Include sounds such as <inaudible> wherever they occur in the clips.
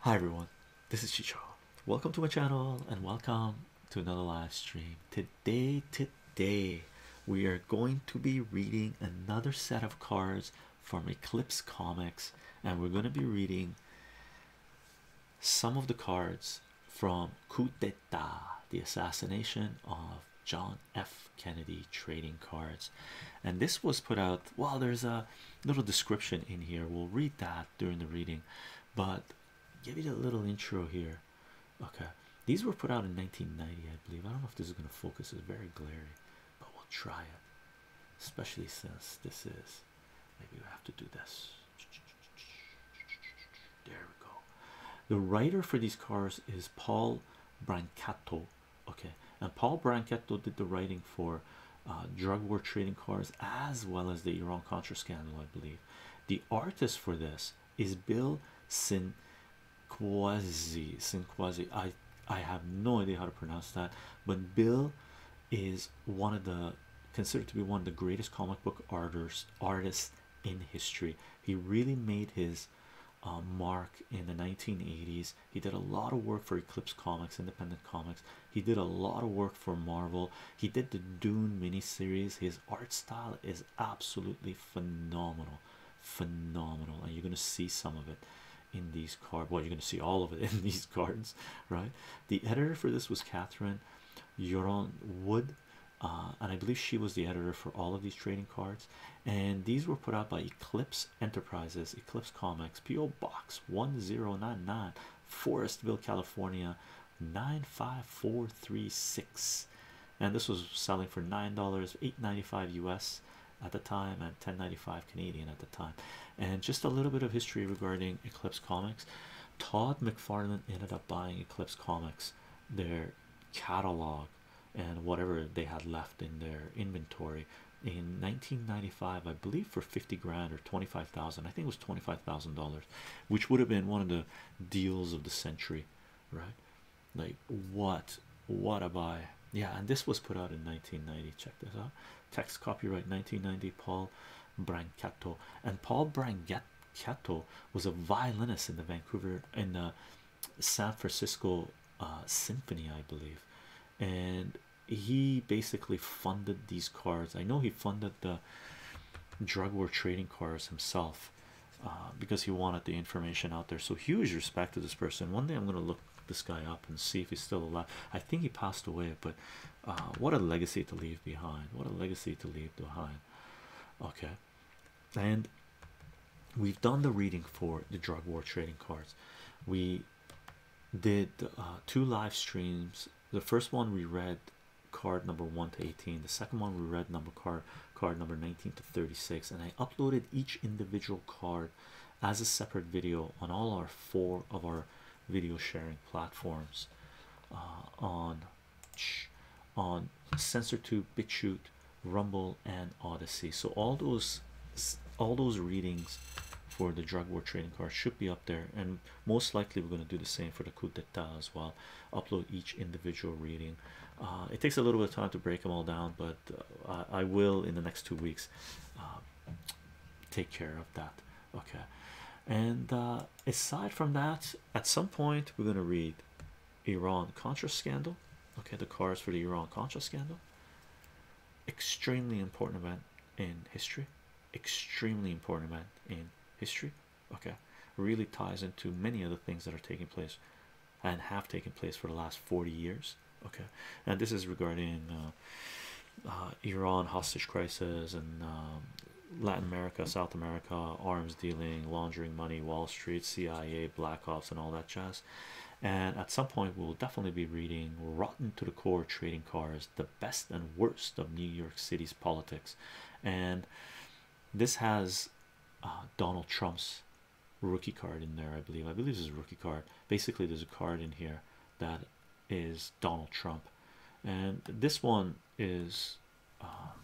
Hi everyone, this is Chicho. Welcome to my channel and welcome to another live stream. Today, today, we are going to be reading another set of cards from Eclipse Comics, and we're going to be reading some of the cards from Coup d'etat, the assassination of John F. Kennedy trading cards. And this was put out, well, there's a little description in here. We'll read that during the reading, but give it a little intro here. Okay, these were put out in 1990, I believe. I don't know if this is going to focus, it's very glary, but we'll try it, especially since this is maybe we have to do this. There we go. The writer for these cars is Paul Brancato. Okay, and Paul Brancato did the writing for uh, drug war trading cards as well as the Iran Contra scandal, I believe. The artist for this is Bill Sinquazi. Sinquazi. I I have no idea how to pronounce that, but Bill is one of the considered to be one of the greatest comic book artists artists in history. He really made his uh, mark in the 1980s. He did a lot of work for Eclipse Comics, Independent Comics, he did a lot of work for Marvel. He did the Dune miniseries. His art style is absolutely phenomenal, phenomenal, and you're gonna see some of it in these cards. Well, you're gonna see all of it <laughs> in these cards, right? The editor for this was Catherine Yoron Wood, uh, and I believe she was the editor for all of these trading cards. And these were put out by Eclipse Enterprises, Eclipse Comics, PO Box 1099, Forestville, California 95436. And this was selling for nine dollars, eight ninety-five US at the time, and ten ninety-five Canadian at the time. And just a little bit of history regarding Eclipse Comics. Todd McFarlane ended up buying Eclipse Comics, their catalog, and whatever they had left in their inventory in 1995 i believe for 50 grand or 25000 i think it was 25000 dollars which would have been one of the deals of the century right like what what a buy yeah and this was put out in 1990 check this out text copyright 1990 paul brancato and paul brancato was a violinist in the vancouver in the san francisco uh, symphony i believe and he basically funded these cards. I know he funded the drug war trading cards himself uh, because he wanted the information out there. So huge respect to this person. One day I'm gonna look this guy up and see if he's still alive. I think he passed away, but uh, what a legacy to leave behind! What a legacy to leave behind. Okay, and we've done the reading for the drug war trading cards. We did uh, two live streams the first one we read card number 1 to 18 the second one we read number card card number 19 to 36 and i uploaded each individual card as a separate video on all our four of our video sharing platforms uh, on, on on SensorTube, BitChute, Rumble, and Odyssey. So all those all those readings for the drug war trading card should be up there and most likely we're going to do the same for the coup d'etat as well upload each individual reading uh, it takes a little bit of time to break them all down but uh, I, will in the next two weeks uh, take care of that okay and aside from that at some point we're going to read Iran Contra scandal okay the cards for the Iran Contra scandal extremely important event in history extremely important event in history. Okay, really ties into many of the things that are taking place and have taken place for the last 40 years. Okay, and this is regarding uh, uh, Iran hostage crisis and um, Latin America, South America, arms dealing, laundering money, Wall Street, CIA, Black Ops, and all that jazz. And at some point, we'll definitely be reading Rotten to the Core Trading cars, the best and worst of New York City's politics. And this has uh, Donald Trump's rookie card in there, I believe. I believe this is a rookie card. Basically, there's a card in here that is Donald Trump, and this one is um,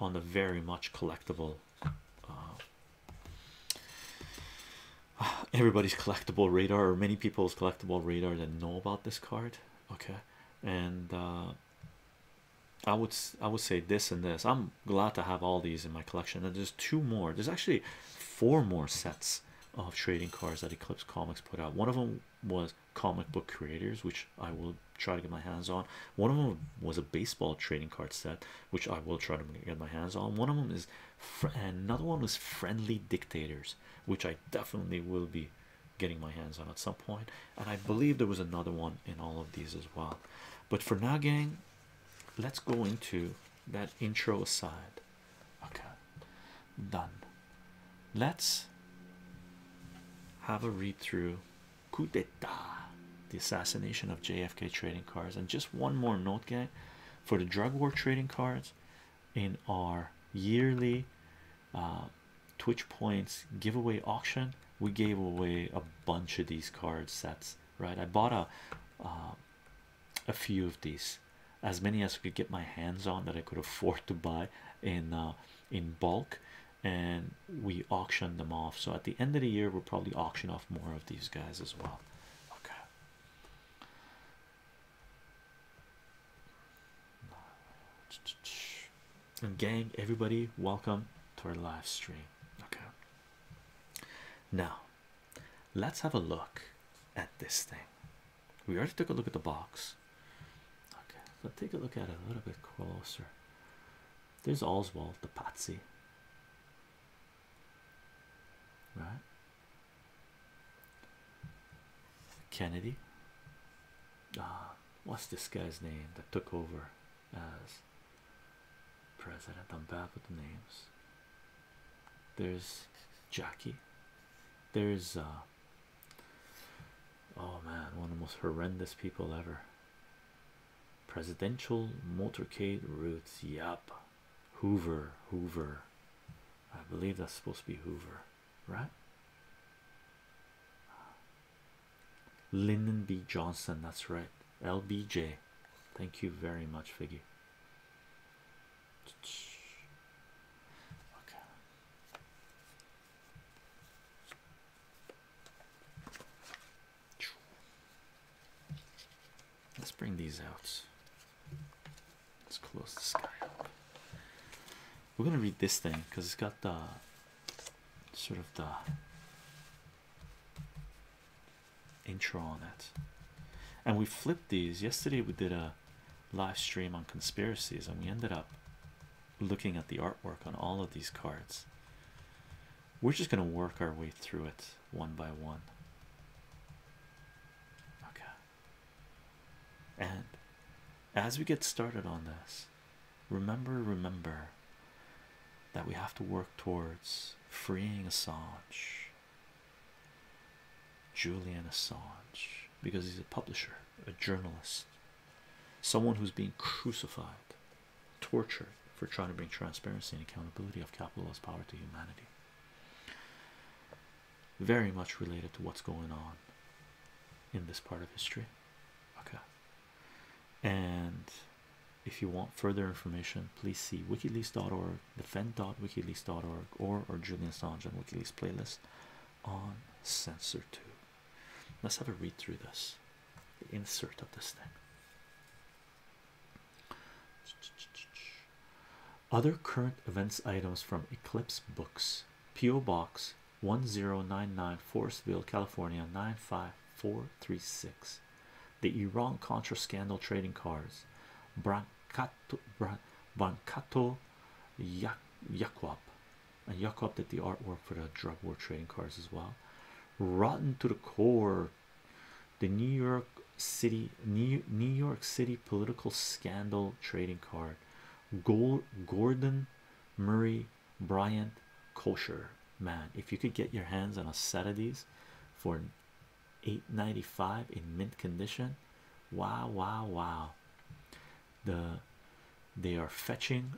on the very much collectible. Uh, <sighs> everybody's collectible radar or many people's collectible radar that know about this card okay and uh, i would i would say this and this i'm glad to have all these in my collection and there's two more there's actually four more sets of trading cards that eclipse comics put out one of them was comic book creators which i will try to get my hands on one of them was a baseball trading card set which i will try to get my hands on one of them is another one was friendly dictators which I definitely will be getting my hands on at some And I believe there was another one in all of these as well. But for now, gang, let's go into that intro aside. Okay, done. Let's have a read through coup d'etat, the assassination of JFK trading cards. And just one more note, gang, for the drug war trading cards, in our yearly uh, Twitch points giveaway auction. We gave away a bunch of these card sets, right? I bought a uh, a few of these, as many as I could get my hands on that I could afford to buy in uh, in bulk, and we auctioned them off. So at the end of the year, we'll probably auction off more of these guys as well. Okay. And gang, everybody, welcome to our live stream. Okay. Now, let's have a look at this thing. We already took a look at the box. Okay, let's take a look at it a little bit closer. There's Oswald the Patsy. Right? Kennedy. Ah, what's this guy's name that took over as president? I'm bad with the names. There's Jackie. There's uh, oh man, one of the most horrendous people ever. Presidential motorcade routes. Yup. Hoover. Hoover. I believe that's supposed to be Hoover right? Lyndon B. Johnson, that's right. LBJ, thank you very much, Figgy. Okay. Let's bring these out. Let's close this guy up. We're gonna read this thing because it's got the sort of the intro on it. And we flipped these. Yesterday we did a live stream on conspiracies and we ended up looking at the artwork on all of these cards. We're just gonna work our way through it one by one. Okay. And as we get started on this, remember, remember that we have to work towards freeing Assange, Julian Assange, because he's a publisher, a journalist, someone who's being crucified, tortured for trying to bring transparency and accountability of capitalist power to humanity very much related to what's going on in this part of history. Okay, and if you want further information, please see wikileaks.org, defend.wikileaks.org, or or Julian Assange Wikileaks playlist on censor two. Let's have a read through this insert of this thing. Other current events items from Eclipse Books P.O. Box 1099 Forestville, California 95436. The Iran Contra scandal trading cards. Brancato, Brancato Yak, And Yakup did the artwork for the drug war trading cards as well. Rotten to the core. The New York City, New, New York City political scandal trading card. Gold Gordon Murray Bryant kosher man if you could get your hands on a set of these for 895 in mint condition wow wow wow the they are fetching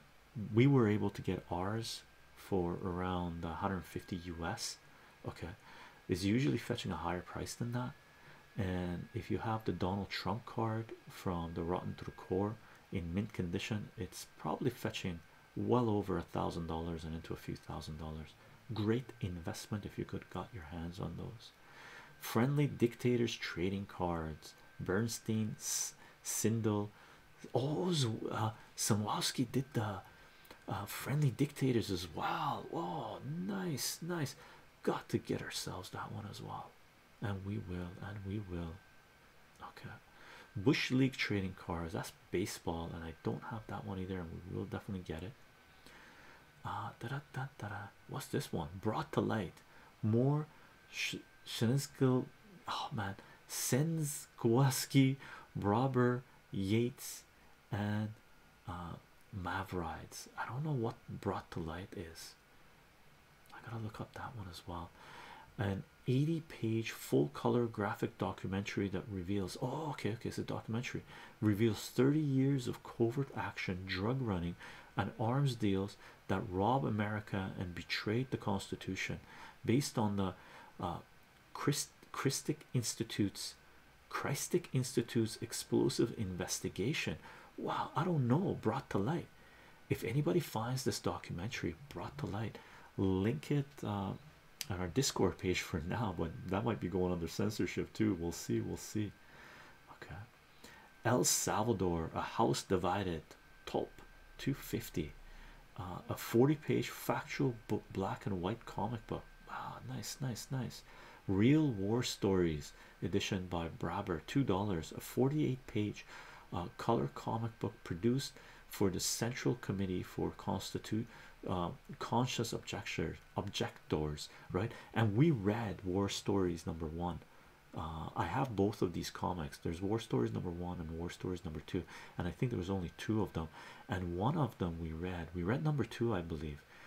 we were able to get ours for around 150 US okay is usually fetching a higher price than that and if you have the Donald Trump card from the Rotten to the Core in mint condition, it's probably fetching well over a thousand dollars and into a few thousand dollars. Great investment if you could got your hands on those. Friendly dictators trading cards, Bernstein, Sindel. Oh, uh, Samowski did the uh, friendly dictators as well. Oh, nice, nice got to get ourselves that one as well and we will and we will okay bush league trading cards that's baseball and i don't have that one either and we will definitely get it uh da -da -da -da -da. what's this one brought to light more Sh oh man sins Kowalski, robber yates and uh i don't know what brought to light is I gotta look up that one as well. An 80 page full color graphic documentary that reveals oh, okay, okay, it's a documentary reveals 30 years of covert action, drug running, and arms deals that rob America and betrayed the Constitution based on the uh, Christic Institute's. Christic Institute's explosive investigation Wow, I don't know. Brought to light. If anybody finds this documentary brought to light, link it uh, on our Discord page for now, but that might be going under censorship too. We'll see. We'll see. Okay. El Salvador, a house divided, top 250. Uh, a 40 page factual book, black and white comic book. Wow, nice, nice, nice real war stories edition by Brabber two dollars a 48 page uh, color comic book produced for the Central Committee for Constitute uh, Conscious Objectors Objectors right and we read war stories number one uh, I have both of these comics there's war stories number one and war stories number two and I think there was only two of them and one of them we read we read number two I believe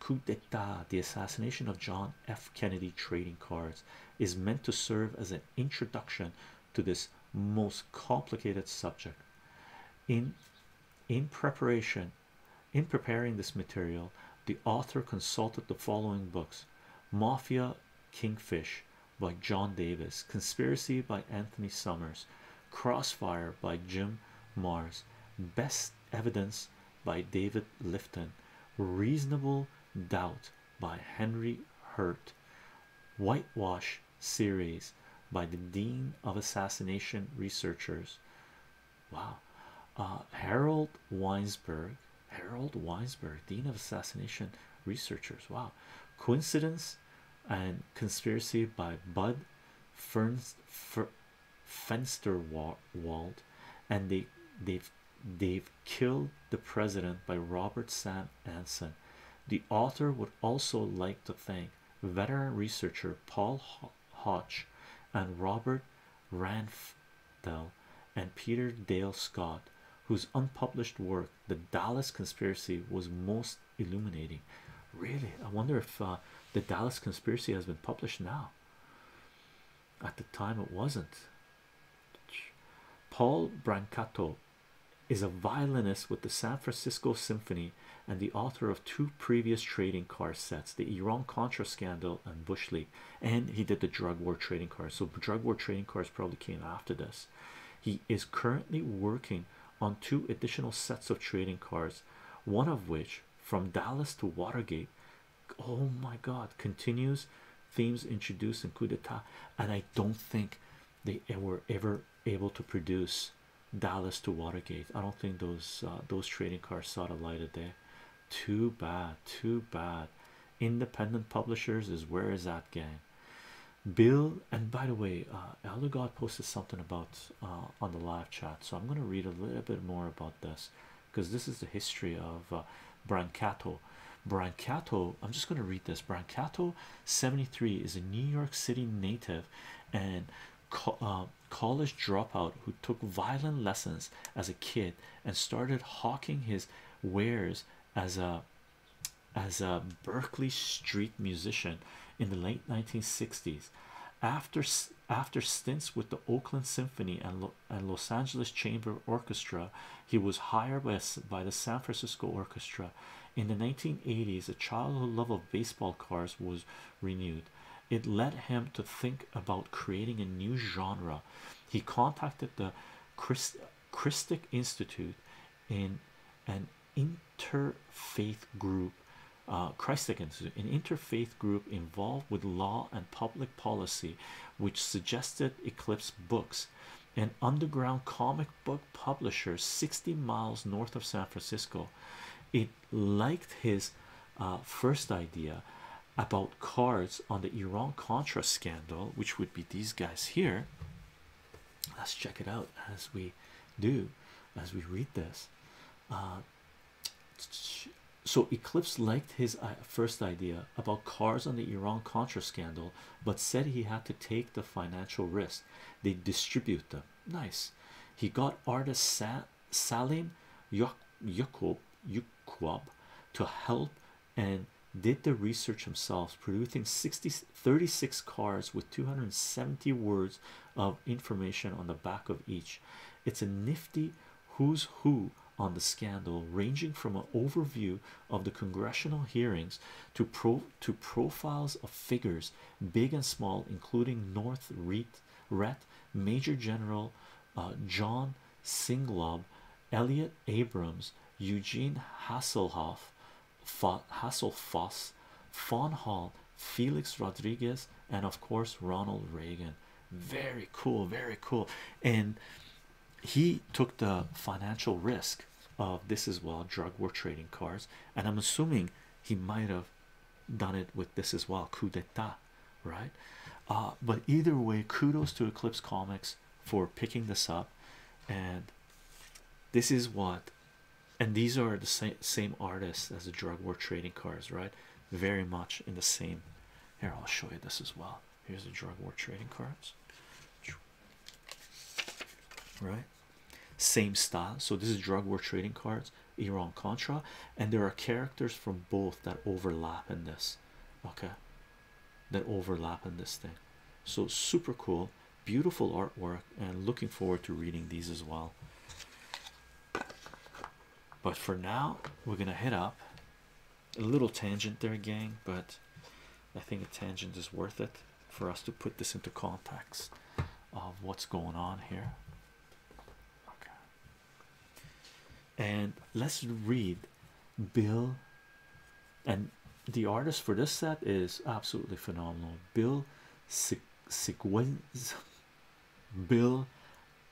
coup d'etat the assassination of John F. Kennedy trading cards is meant to serve as an introduction to this most complicated subject in in preparation in preparing this material the author consulted the following books Mafia Kingfish by John Davis Conspiracy by Anthony Summers Crossfire by Jim Mars Best Evidence by David Lifton, Reasonable Doubt by Henry Hurt, Whitewash series by the Dean of Assassination Researchers. Wow, uh, Harold Weinsberg, Harold Weinsberg, Dean of Assassination Researchers. Wow, Coincidence and Conspiracy by Bud Ferns, fenster walled and they they've they've killed the president by Robert Sam Anson. The author would also like to thank veteran researcher Paul Hodge and Robert Ranfdell and Peter Dale Scott, whose unpublished work, The Dallas Conspiracy, was most illuminating. Really, I wonder if uh, the Dallas Conspiracy has been published now. At the time, it wasn't. Paul Brancato is a violinist with the San Francisco Symphony and the author of two previous trading card sets, the Iran Contra scandal and Bush League. And he did the drug war trading cards. So, drug war trading cards probably came after this. He is currently working on two additional sets of trading cards, one of which from Dallas to Watergate. Oh my god, continues themes introduced in coup d'etat, and I don't think they were ever able to produce Dallas to Watergate. I don't think those uh, those trading cards saw the light of day. Too bad, too bad. Independent publishers is where is that gang? Bill and by the way, uh, Elder God posted something about uh, on the live chat, so I'm going to read a little bit more about this because this is the history of uh, Brancato. Brancato, I'm just going to read this. Brancato 73 is a New York City native and uh, college dropout who took violin lessons as a kid and started hawking his wares as a as a Berkeley street musician in the late 1960s after after stints with the Oakland Symphony and, and Los Angeles Chamber Orchestra, he was hired by, the San Francisco Orchestra. In the 1980s, a childhood love of baseball cards was renewed. It led him to think about creating a new genre. He contacted the Christ Christic Institute in an interfaith group uh, Christians, an interfaith group involved with law and public policy, which suggested Eclipse Books, an underground comic book publisher 60 miles north of San Francisco. It liked his uh, first idea about cards on the Iran Contra scandal, which would be these guys here. Let's check it out as we do as we read this. Uh, so Eclipse liked his uh, first idea about cars on the Iran Contra scandal, but said he had to take the financial risk. They distribute them. Nice. He got artist Salim Yukub to help and did the research himself, producing 36 cards with 270 words of information on the back of each. It's a nifty who's who on the scandal, ranging from an overview of the congressional hearings to profiles of figures, big and small, including North Reed, Major General uh, John Singlob, Elliot Abrams, Eugene Hasselhoff, Fa Hasselfoss, Fawn Hall, Felix Rodriguez, and of course Ronald Reagan. Very cool, very cool. And he took the financial risk of this as well. Drug war trading cards, and I'm assuming he might have done it with this as well. Coup d'etat, right? Uh, but either way, kudos to Eclipse Comics for picking this up. And this is what, and these are the same, same artists as the drug war trading cards, right? very much in the same. Here, I'll show you this as well. Here's the drug war trading cards, right? Same style. So, this is drug war trading cards, Iran Contra, and there are characters from both that overlap in this, okay? That overlap in this thing. So, super cool, beautiful artwork, and looking forward to reading these as well. But for now, we're gonna hit up a little tangent there, gang. But I think a tangent is worth it for us to put this into context of what's going on here. Okay. And let's read Bill and the artist for this set is absolutely phenomenal. Bill Sig Bill,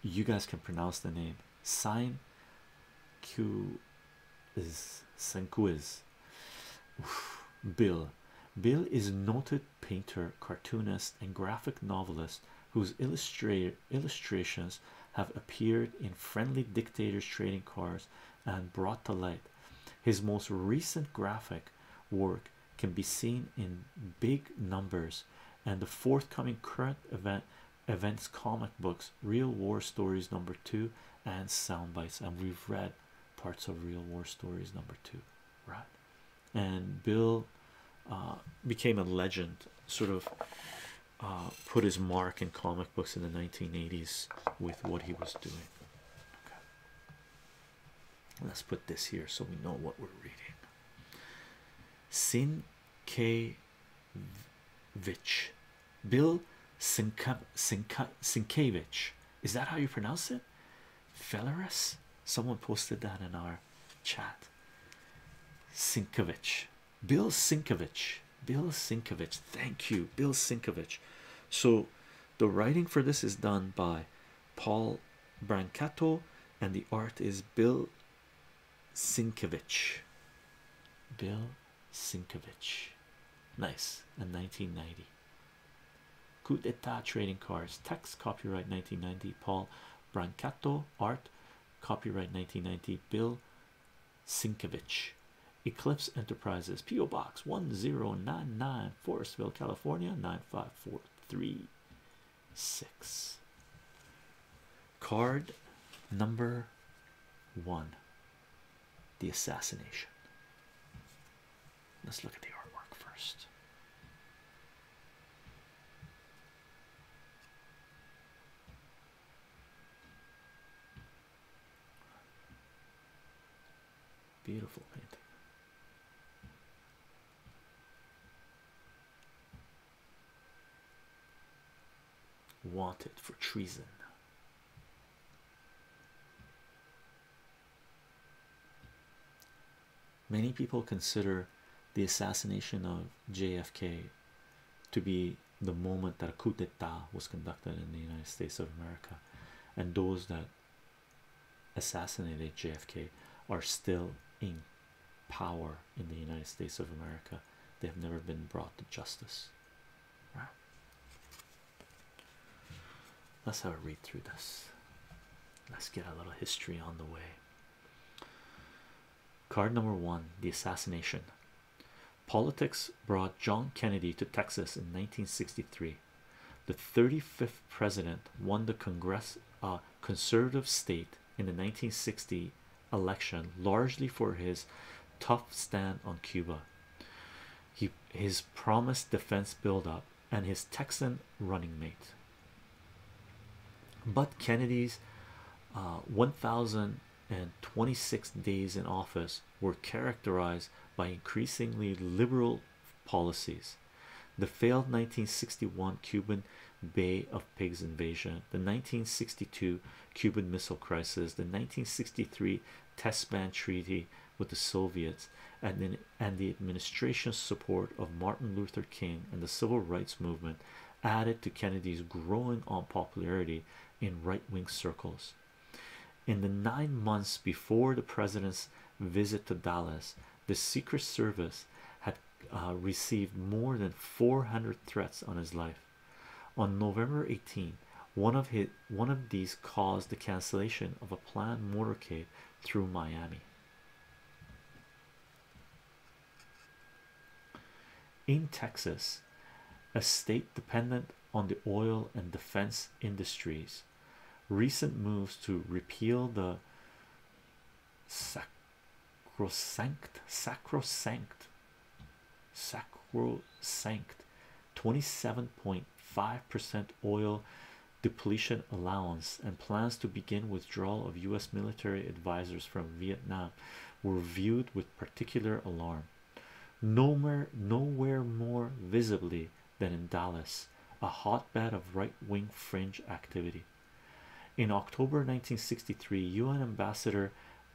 you guys can pronounce the name. Sign Q is Senquiz. Bill. Bill is noted painter, cartoonist, and graphic novelist whose illustrator illustrations have appeared in Friendly Dictators Trading Cards and Brought to Light. His most recent graphic work can be seen in big numbers and the forthcoming current event events comic books real war stories number two and sound bites and we've read parts of real war stories number two right and bill uh, became a legend sort of uh, put his mark in comic books in the 1980s with what he was doing let's put this here so we know what we're reading Sin Bill Sinka Sinkevich. Is that how you pronounce it? Fellerus? Someone posted that in our chat. Sinkovich. Bill Sinkovich. Bill Sinkovich. Thank you, Bill Sinkovich. So the writing for this is done by Paul Brancato and the art is Bill Sinkovich, Bill Sinkovich, nice, and 1990. Coup d'etat trading cards, text copyright 1990, Paul Brancato, art copyright 1990, Bill Sinkovich. Eclipse Enterprises, P.O. Box 1099, Forestville, California 95443 six card number one the assassination let's look at the artwork first beautiful painting wanted for treason. Many people consider the assassination of JFK to be the moment that a coup d'etat was conducted in the United States of America, and those that assassinated JFK are still in power in the United States of America. They have never been brought to justice. Let's have a read through this. Let's get a little history on the way. Card number one The Assassination. Politics brought John Kennedy to Texas in 1963. The 35th president won the Congress, uh, conservative state in the 1960 election largely for his tough stand on Cuba. He his promised defense buildup and his Texan running mate. But Kennedy's uh, 1,026 days in office were characterized by increasingly liberal policies. The failed 1961 Cuban Bay of Pigs invasion, the 1962 Cuban Missile Crisis, the 1963 Test Ban Treaty with the Soviets, and then and the administration's support of Martin Luther King and the Civil Rights Movement added to Kennedy's growing unpopularity in right-wing circles. In the nine months before the president's visit to Dallas, the Secret Service had uh, received more than 400 threats on his life. On November eighteenth, one of his one of these caused the cancellation of a planned motorcade through Miami. In Texas, a state dependent on the oil and defense industries, recent moves to repeal the sacrosanct sacrosanct sacrosanct 27.5 percent oil depletion allowance and plans to begin withdrawal of u.s military advisers from vietnam were viewed with particular alarm nowhere nowhere more visibly than in dallas a hotbed of right-wing fringe activity in October 1963, UN Ambassador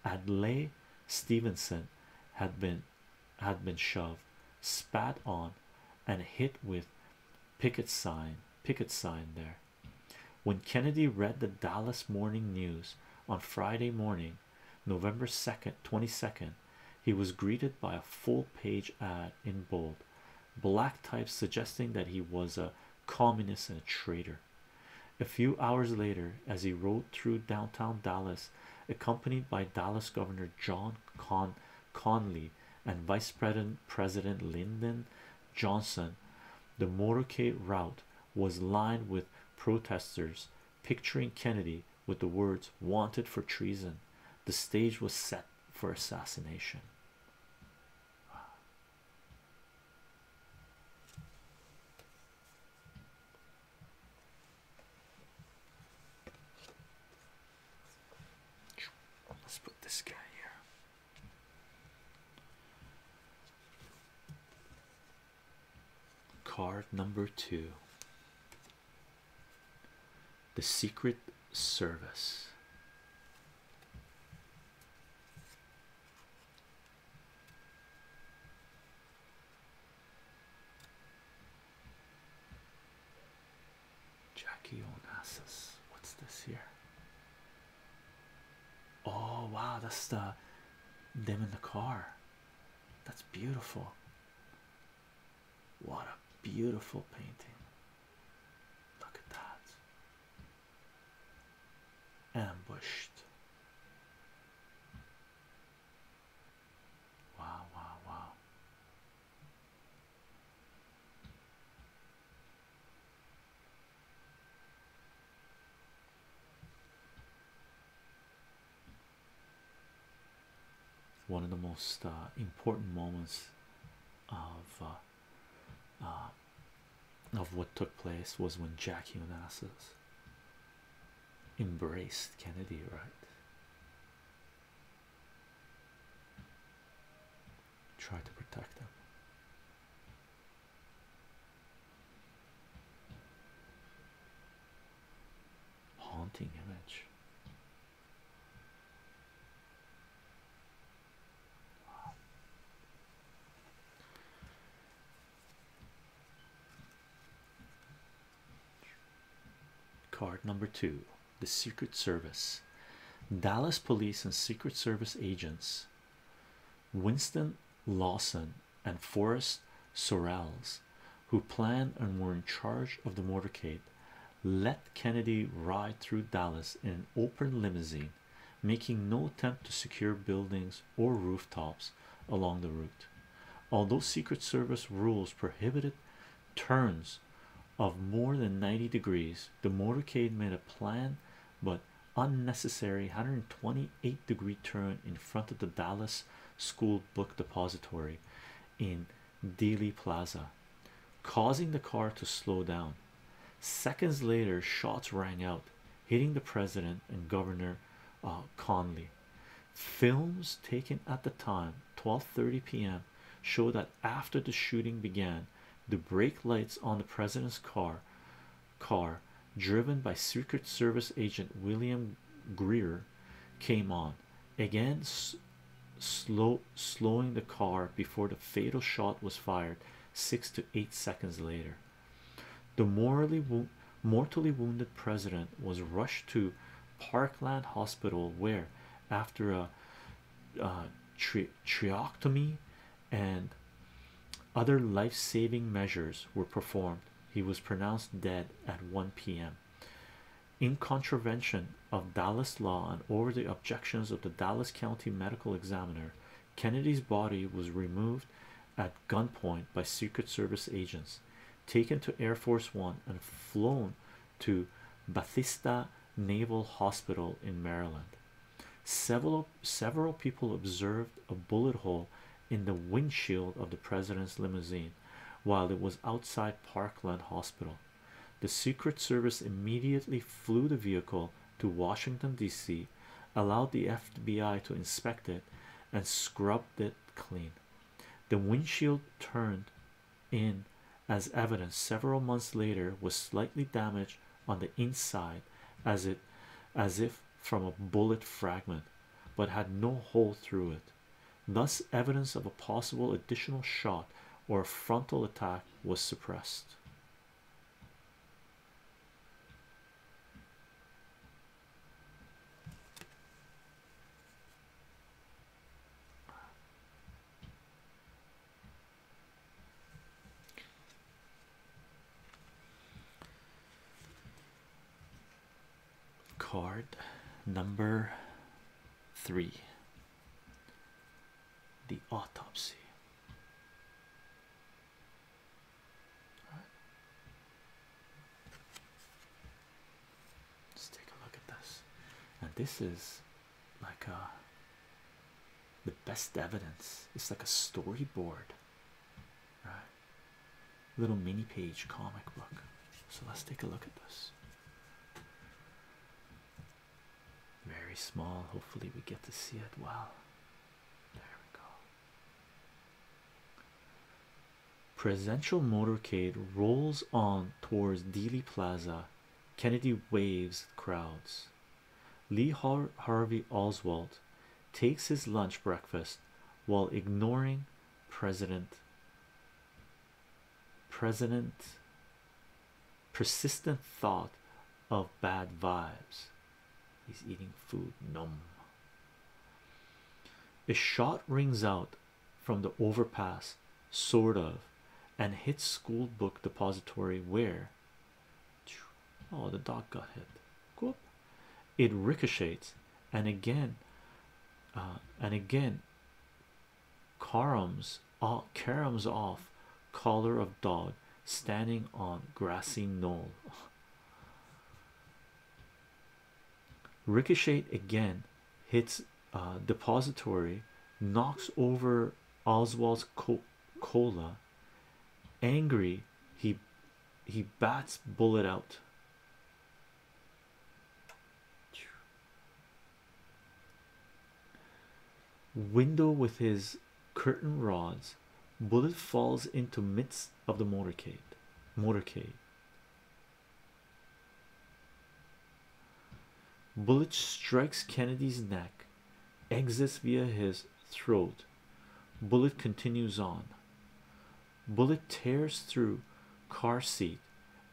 Adlai Stevenson had been had been shoved, spat on, and hit with picket sign picket sign there. When Kennedy read the Dallas Morning News on Friday morning, November 2nd, 22nd, he was greeted by a full-page ad in bold black types suggesting that he was a communist and a traitor. A few hours later, as he rode through downtown Dallas, accompanied by Dallas Governor John Con Conley and Vice President President Lyndon Johnson, the motorcade route was lined with protesters picturing Kennedy with the words wanted for treason. The stage was set for assassination. Let's put this guy here. Card number two The Secret Service. Jackie Onassis. What's this here? Oh wow, that's the them in the car. That's beautiful. What a beautiful painting. Look at that ambushed. Wow, wow, wow. One of the most uh, important moments of uh, uh, uh, of what took place was when Jack Onassis embraced Kennedy, right? Try to protect him. Haunting image. Card number two the Secret Service Dallas police and Secret Service agents Winston Lawson and Forrest Sorrells, who planned and were in charge of the motorcade, let Kennedy ride through Dallas in an open limousine making no attempt to secure buildings or rooftops along the route. Although Secret Service rules prohibited turns of more than 90 degrees, the motorcade made a planned but unnecessary 128 degree turn in front of the Dallas School Book Depository in Dealey Plaza, causing the car to slow down. Seconds later, shots rang out, hitting the president and governor uh, Conley. Films taken at the time, 12:30 p.m., show that after the shooting began, the brake lights on the president's car, car driven by Secret Service agent William Greer, came on again, slowing the car before the fatal shot was fired six to eight seconds later. The mortally, wounded president was rushed to Parkland Hospital, where, after a uh, and other life saving measures were performed, he was pronounced dead at 1 p.m. In contravention of Dallas law and over the objections of the Dallas County Medical Examiner, Kennedy's body was removed at gunpoint by Secret Service agents, taken to Air Force One, and flown to Bethesda Naval Hospital in Maryland. Several several people observed a bullet hole in the windshield of the president's limousine while it was outside Parkland Hospital. The Secret Service immediately flew the vehicle to Washington, D.C., allowed the FBI to inspect it and scrubbed it clean. The windshield turned in as evidence several months later was slightly damaged on the inside as it as if from a bullet fragment but had no hole through it. Thus evidence of a possible additional shot or a frontal attack was suppressed. Card number three The Autopsy right. Let's take a look at this. And this is like uh, the best evidence. It's like a storyboard, right? Little mini page comic book. So let's take a look at this. Very small. Hopefully, we get to see it. well. Presidential motorcade rolls on towards Dealey Plaza. Kennedy waves crowds. Lee Harvey Oswald takes his lunch breakfast while ignoring President President persistent thought of bad vibes. He's eating food, numb. A shot rings out from the overpass, sort of, and hits school book depository where oh, the dog got hit. Cool. It ricochets, and again, uh, and again, caroms uh, caroms off collar of dog standing on grassy knoll. Ricochet again hits depository, knocks over Oswald's cola. Angry, he he bats bullet out. Window with his curtain rods bullet falls into midst of the motorcade motorcade bullet strikes Kennedy's neck exits via his throat bullet continues on bullet tears through car seat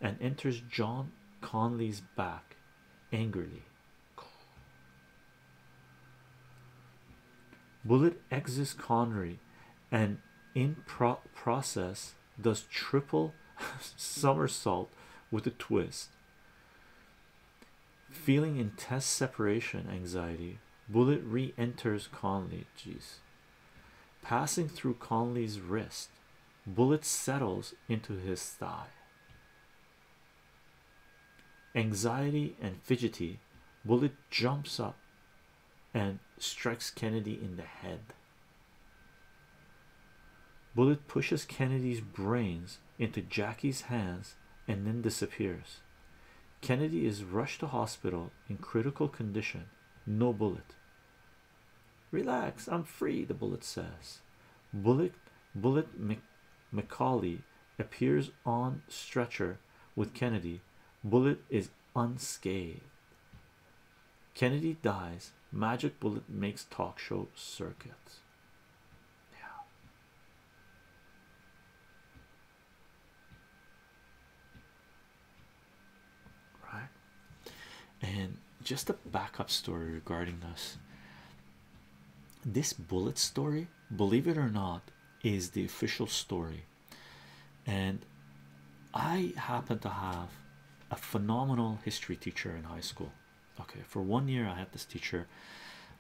and enters John Conley's back angrily Bullet exits Connery and in pro process does triple <laughs> somersault with a twist. Feeling intense separation anxiety, Bullet re enters Conley. Jeez. Passing through Conley's wrist, Bullet settles into his thigh. Anxiety and fidgety, Bullet jumps up and strikes Kennedy in the head. Bullet pushes Kennedy's brains into Jackie's hands and then disappears. Kennedy is rushed to hospital in critical condition. No bullet. Relax, I'm free, the bullet says. Bullet, bullet Macaulay appears on stretcher with Kennedy. Bullet is unscathed. Kennedy dies. Magic Bullet makes talk show circuit. Yeah. Right. And just a backup story regarding this. This bullet story believe it or not is the official story and i happen to have a phenomenal history teacher in high school okay for one year i had this teacher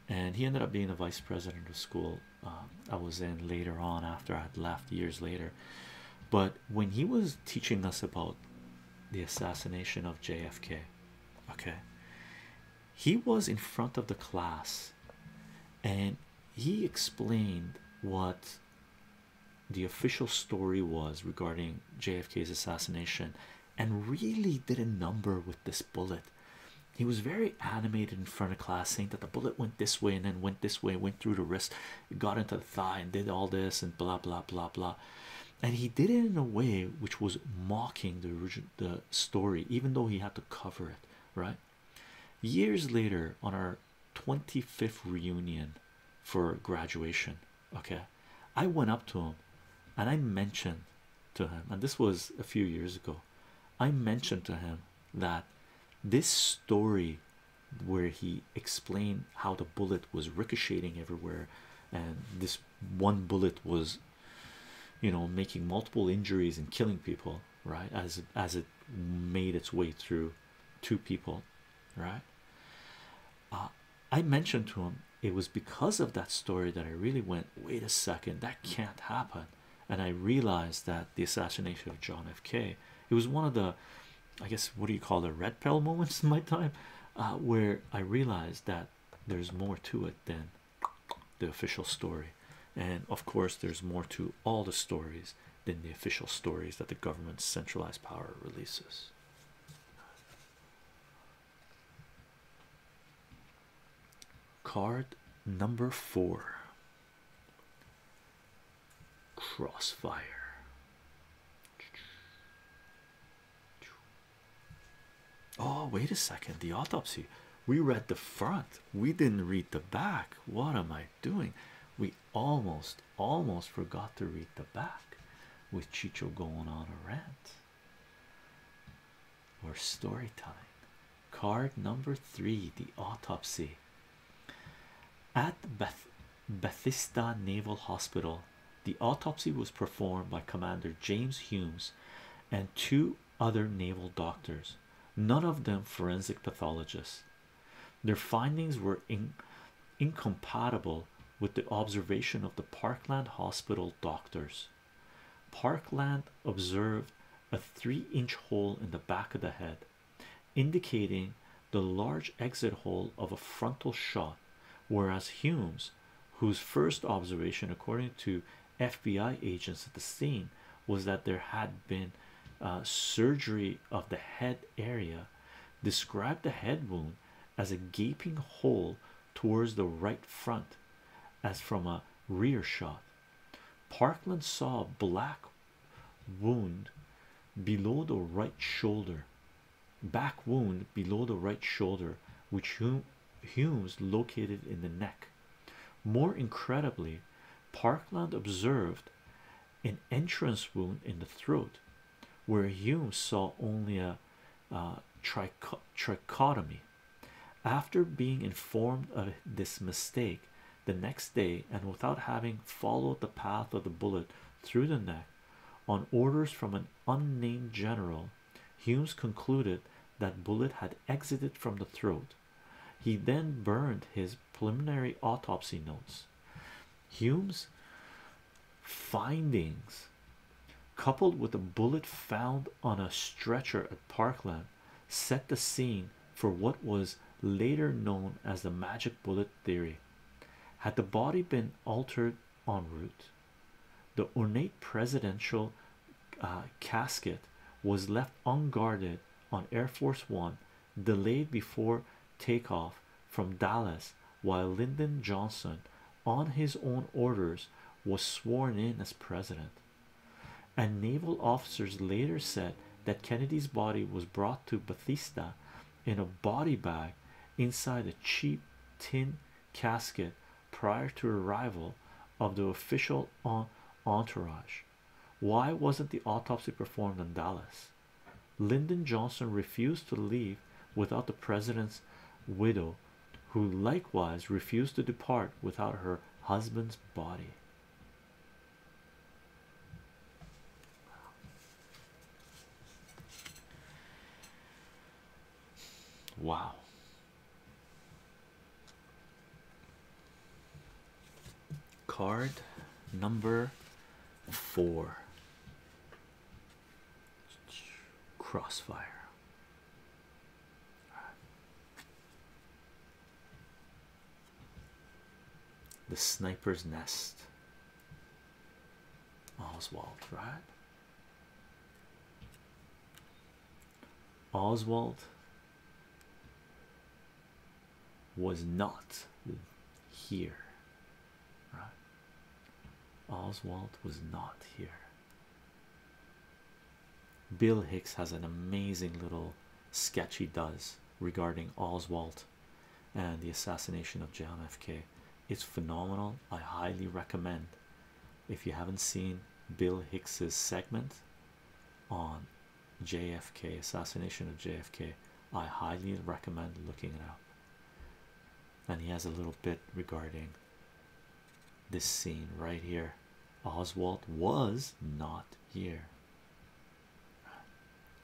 and he ended up being the vice president of school um, i was in later on after i had left years later but when he was teaching us about the assassination of jfk okay he was in front of the class and he explained what the official story was regarding JFK's assassination and really did a number with this bullet. He was very animated in front of class, saying that the bullet went this way and then went this way, went through the wrist, got into the thigh, and did all this, and blah blah blah blah. And he did it in a way which was mocking the original the story, even though he had to cover it, right? Years later, on our 25th reunion for graduation, okay, I went up to him and I mentioned to him, and this was a few years ago, I mentioned to him that this story where he explained how the bullet was ricocheting everywhere and this one bullet was you know making multiple injuries and killing people right as as it made its way through two people right uh, i mentioned to him it was because of that story that i really went wait a second that can't happen and i realized that the assassination of john f k it was one of the i guess what do you call the red pill moments <laughs> in my time uh, where i realized that there's more to it than the official story. And of course, there's more to all the stories than the official stories that the government's centralized power releases. Card number four Crossfire. Oh, wait a second. The autopsy. We read the front. We didn't read the back. What am I doing? We almost, almost forgot to read the back with Chicho going on a rant. Or story time. Card number three, the autopsy. At Beth Bethesda Naval Hospital, the autopsy was performed by Commander James Humes and two other naval doctors, none of them forensic pathologists. Their findings were in incompatible with the observation of the Parkland Hospital doctors. Parkland observed a three inch hole in the back of the head, indicating the large exit hole of a frontal shot, whereas Hume's, whose first observation, according to FBI agents at the scene was that there had been uh, surgery of the head area. Described the head wound as a gaping hole towards the right front, as from a rear shot. Parkland saw a black wound below the right shoulder, back wound below the right shoulder, which whom humes located in the neck. More incredibly, Parkland observed an entrance wound in the throat, where Humes saw only a uh, trichotomy. After being informed of this mistake the next day, and without having followed the path of the bullet through the neck, on orders from an unnamed general, Humes concluded that bullet had exited from the throat. He then burned his preliminary autopsy notes. Hume's findings, coupled with a bullet found on a stretcher at Parkland, set the scene for what was later known as the magic bullet theory. Had the body been altered en route, the ornate presidential uh, casket was left unguarded on Air Force One, delayed before takeoff from Dallas, while Lyndon Johnson, on his own orders, was sworn in as president. And naval officers later said that Kennedy's body was brought to Bethesda in a body bag inside a cheap tin casket prior to arrival of the official entourage. Why wasn't the autopsy performed in Dallas? Lyndon Johnson refused to leave without the president's widow, who likewise refused to depart without her husband's body. Wow, Card number four Crossfire. The Sniper's Nest. Oswald, right? Oswald was not here. Oswald was not here. Bill Hicks has an amazing little sketch he does regarding Oswald and the assassination of John F. K. It's phenomenal. I highly recommend if you haven't seen Bill Hicks's segment on JFK assassination of JFK. I highly recommend looking it up. And he has a little bit regarding this scene right here. Oswald was not here.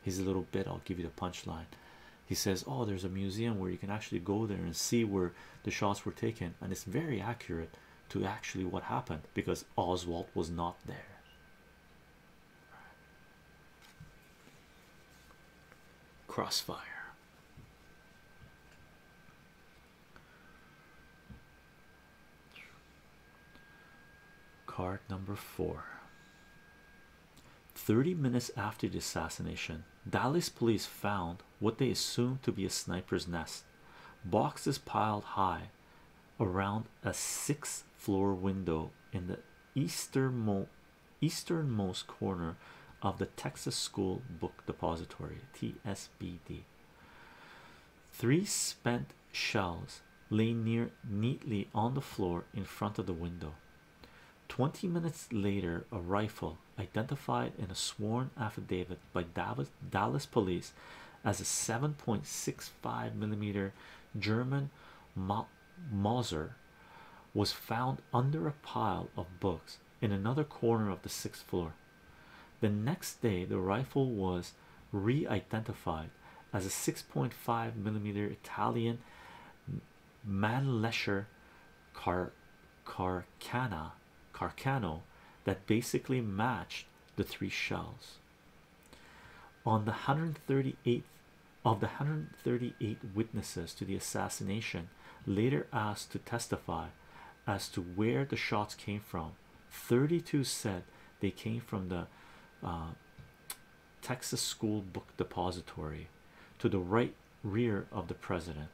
He's a little bit, I'll give you the punchline. He says, Oh, there's a museum where you can actually go there and see where the shots were taken, and it's very accurate to actually what happened because Oswald was not there. Crossfire. Card number four. 30 minutes after the assassination, Dallas police found what they assumed to be a sniper's nest boxes piled high around a sixth floor window in the easternmost corner of the Texas School Book Depository TSBD. Three spent shells lay near neatly on the floor in front of the window. Twenty minutes later, a rifle identified in a sworn affidavit by Davenport Dallas, police as a 7.65 millimeter German Ma Mauser was found under a pile of books in another corner of the sixth floor. The next day, the rifle was re identified as a 6.5 millimeter Italian Manlesher Car Carcana Carcano that basically matched the three shells. On the 138th of the 138 witnesses to the assassination, later asked to testify as to where the shots came from, 32 said they came from the uh, Texas School Book Depository to the right rear of the president,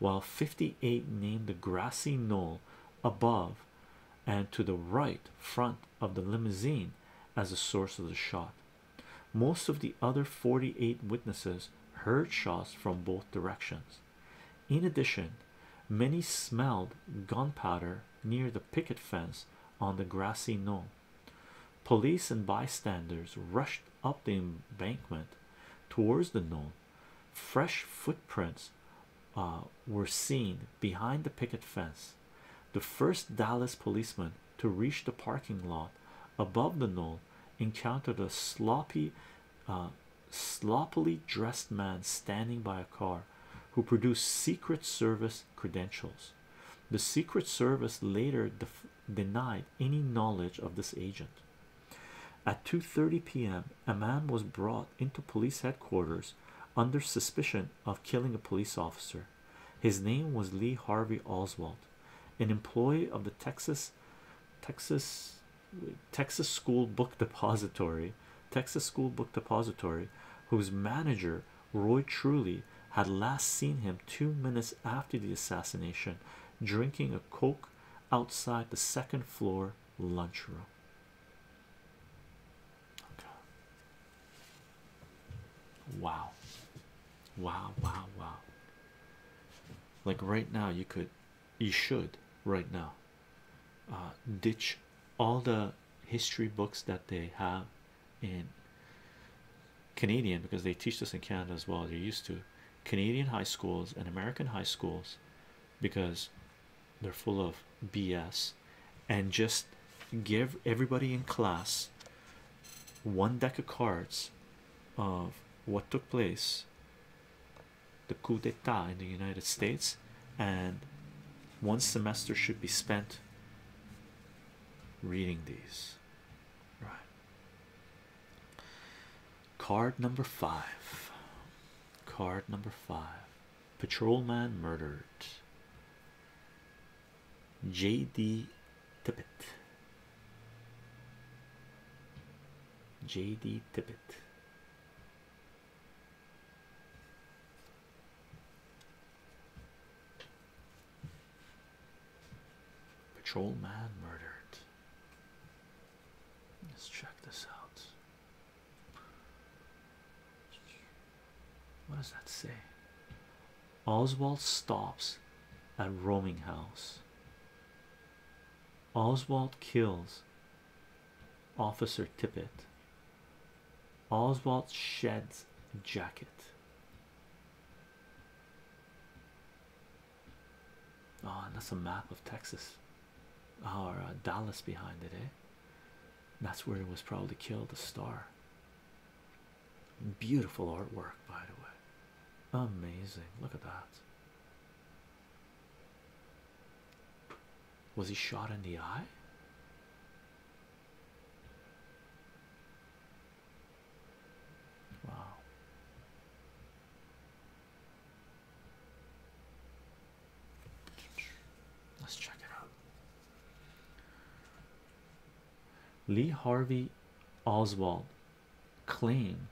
while 58 named the grassy knoll above and to the right front of the limousine as the source of the shot. Most of the other 48 witnesses heard shots from both directions. In addition, many smelled gunpowder near the picket fence on the grassy knoll. Police and bystanders rushed up the embankment towards the knoll Fresh footprints uh, were seen behind the picket fence. The first Dallas policeman to reach the parking lot above the knoll encountered a sloppy, uh, sloppily dressed man standing by a car who produced Secret Service credentials. The Secret Service later denied any knowledge of this agent. At 2:30 p.m., a man was brought into police headquarters under suspicion of killing a police officer. His name was Lee Harvey Oswald, an employee of the Texas Texas Texas School Book Depository, Texas School Book Depository, whose manager Roy Truly had last seen him two minutes after the assassination, drinking a coke outside the second floor lunchroom. Okay. Wow. Wow, wow, wow. Like right now, you could, you should right now uh, ditch all the history books that they have in Canadian because they teach this in Canada as well. They're used to Canadian high schools and American high schools because they're full of BS and just give everybody in class one deck of cards of what took place the coup d'etat in the United States and one semester should be spent reading these right card number five card number five patrolman murdered jd tippett jd tippett patrolman murdered let's check this out what does that say? Oswald stops at roaming house. Oswald kills Officer Tippett. Oswald sheds jacket. Oh, and that's a map of Texas. Our uh, Dallas behind it, eh? That's where it was probably killed. The star, beautiful artwork, by the way. Amazing, look at that. Was he shot in the eye? Wow. Let's check it out. Lee Harvey Oswald claimed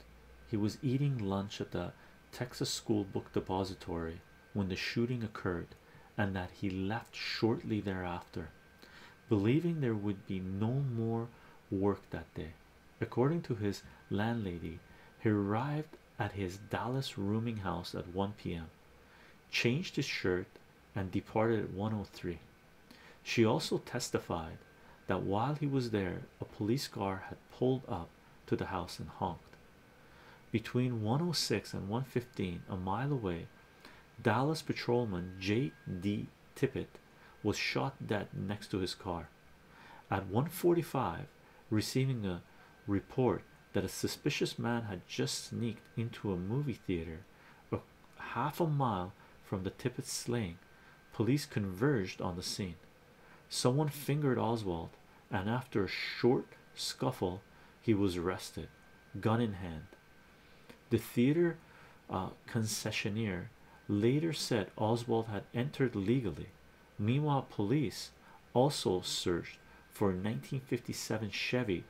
he was eating lunch at the Texas School Book Depository when the shooting occurred and that he left shortly thereafter, believing there would be no more work that day. According to his landlady, he arrived at his Dallas rooming house at 1 p.m. Changed his shirt and departed at 103. She also testified that while he was there, a police car had pulled up to the house and honked. Between 106 and 115, a mile away, Dallas patrolman J.D. Tippett was shot dead next to his car. At 145, receiving a report that a suspicious man had just sneaked into a movie theater a half a mile from the tippett slaying police converged on the scene someone fingered oswald and after a short scuffle he was arrested gun in hand the theater uh, concessionaire later said oswald had entered legally Meanwhile, police also searched for a 1957 Chevy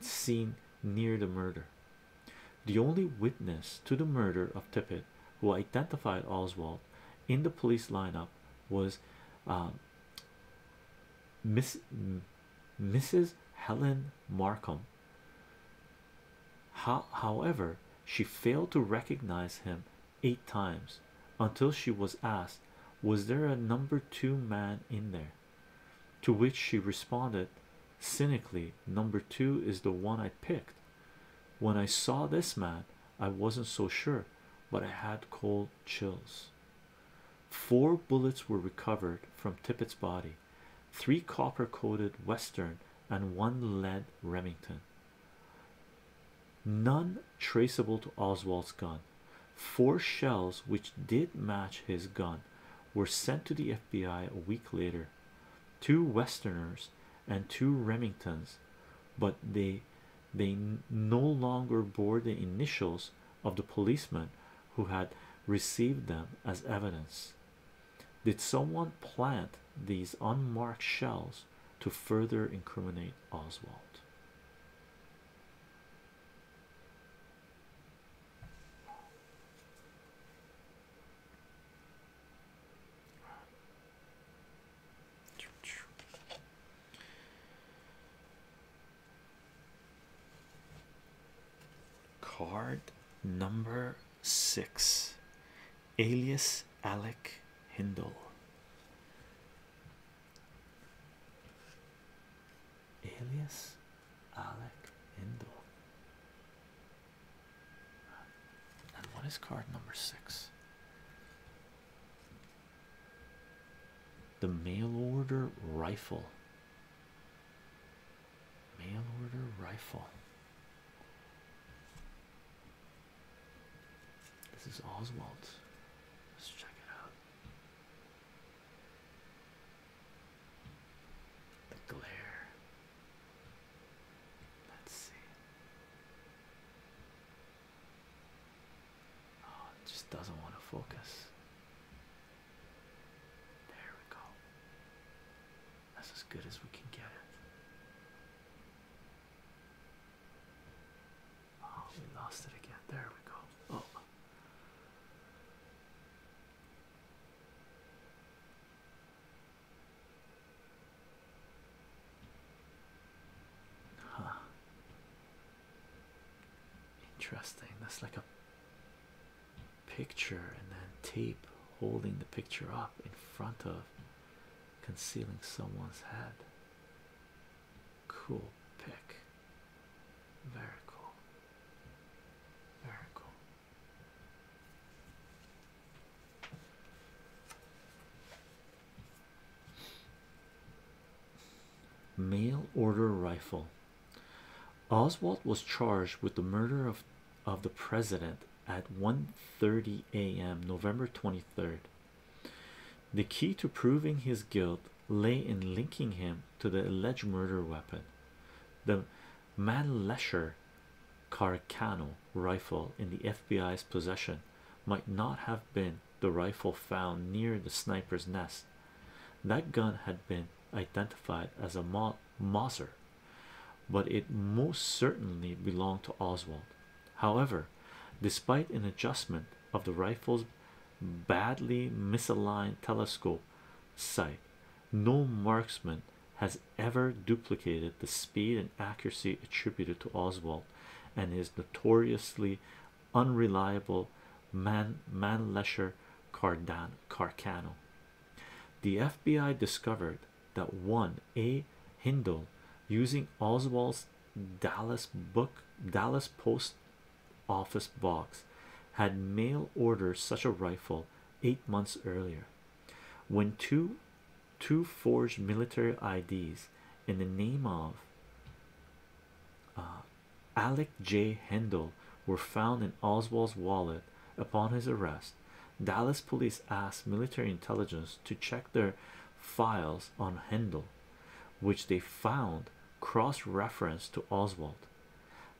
seen near the murder. The only witness to the murder of Tippett who identified Oswald in the police lineup was um, Miss Mrs. Helen Markham. however, she failed to recognize him eight times until she was asked, Was there a number two man in there? To which she responded cynically, Number two is the one I picked. When I saw this man, I wasn't so sure, but I had cold chills. Four bullets were recovered from Tippett's body, three copper coated Western and one lead Remington none traceable to Oswald's gun. Four shells, which did match his gun, were sent to the FBI a week later two Westerners and two Remingtons, but they they no longer bore the initials of the policeman who had received them as evidence. Did someone plant these unmarked shells to further incriminate Oswald? Card number six, alias Alec Hindle. Alias Alec Indo. And what is card number six? The mail order rifle. Mail order rifle. This is Oswald. Let's check it out. The glare. Let's see. Oh, just doesn't want to focus. There we go. That's as good as we can get it. Oh, we lost it again. There we go. Oh. Interesting. That's like a picture and then tape holding the picture up in front of concealing someone's head. Cool pick. Very cool. Very cool. Mail order rifle. Oswald was charged with the murder of of the president at 1:30 a.m. November 23rd. The key to proving his guilt lay in linking him to the alleged murder weapon, the Manlesher Carcano rifle in the FBI's possession. Might not have been the rifle found near the sniper's nest. That gun had been identified as a Ma Moser, but it most certainly belonged to Oswald. However, despite an adjustment of the rifle's badly misaligned telescope sight. No marksman has ever duplicated the speed and accuracy attributed to Oswald and his notoriously unreliable man Manlesher Cardan Carcano. The FBI discovered that one A. Hindle using Oswald's Dallas book Dallas post office box had mail ordered such a rifle eight months earlier when two two forged military IDs in the name of uh, Alec J. Hendel were found in Oswald's wallet upon his arrest. Dallas police asked military intelligence to check their files on Hendel, which they found cross-reference to Oswald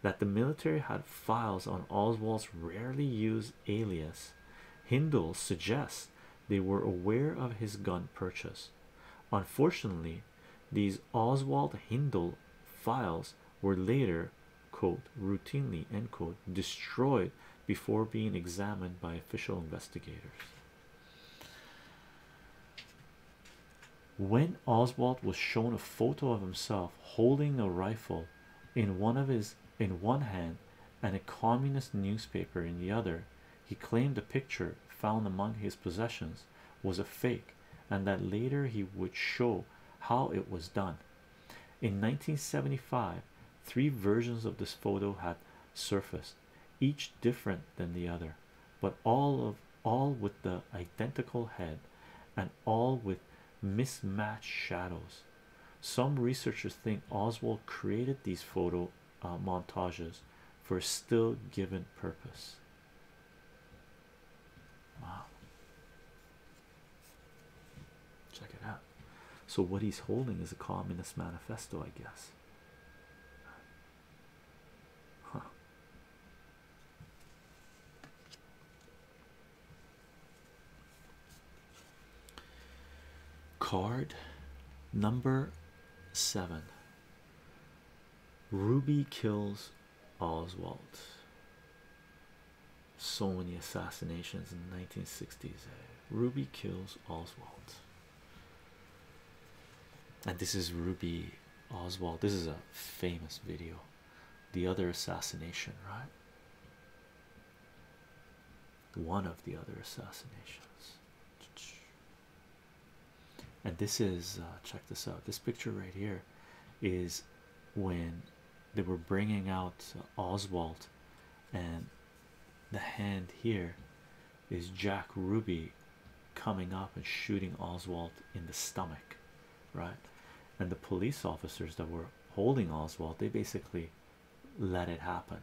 that the military had files on Oswald's rarely used alias. Hindle suggests they were aware of his gun purchase. Unfortunately, these Oswald Hindle files were later quote routinely end quote destroyed before being examined by official investigators. When Oswald was shown a photo of himself holding a rifle in one of his in one hand and a communist newspaper in the other, he claimed the picture found among his possessions was a fake and that later he would show how it was done. In 1975, three versions of this photo had surfaced each different than the other, but all of all with the identical head and all with mismatched shadows. Some researchers think Oswald created these photo uh, montages for a still given purpose. Wow. Check it out. So, what he's holding is a Communist Manifesto, I guess. Card number seven Ruby kills Oswald. So many assassinations in the 1960s. Ruby kills Oswald. And this is Ruby Oswald. This is a famous video. The other assassination, right? One of the other assassinations. And this is, uh, check this out. This picture right here is when they were bringing out Oswald, and the hand here is Jack Ruby coming up and shooting Oswald in the stomach, right? And the police officers that were holding Oswald, they basically let it happen,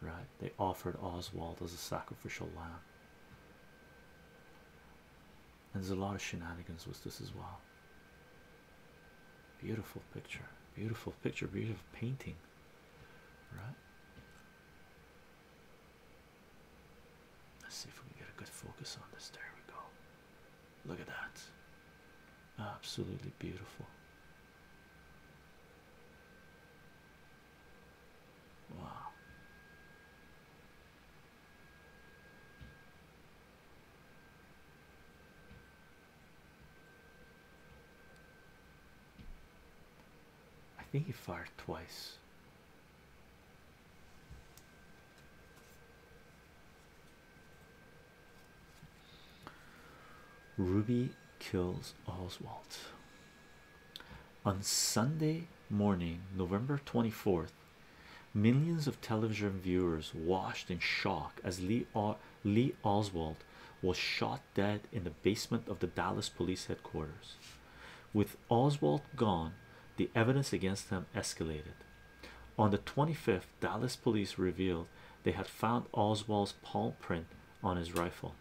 right? They offered Oswald as a sacrificial lamb. And there's a lot of shenanigans with this as well. Beautiful picture, beautiful picture, beautiful painting, right? Let's see if we can get a good focus on this. There we go. Look at that. Absolutely beautiful. Wow. I think he fired twice. Ruby kills Oswald on Sunday morning, November 24th. Millions of television viewers watched in shock as Lee, Oswald was shot dead in the basement of the Dallas police headquarters. With Oswald gone, the evidence against them escalated. On the 25th, Dallas police revealed they had found Oswald's palm print on his rifle.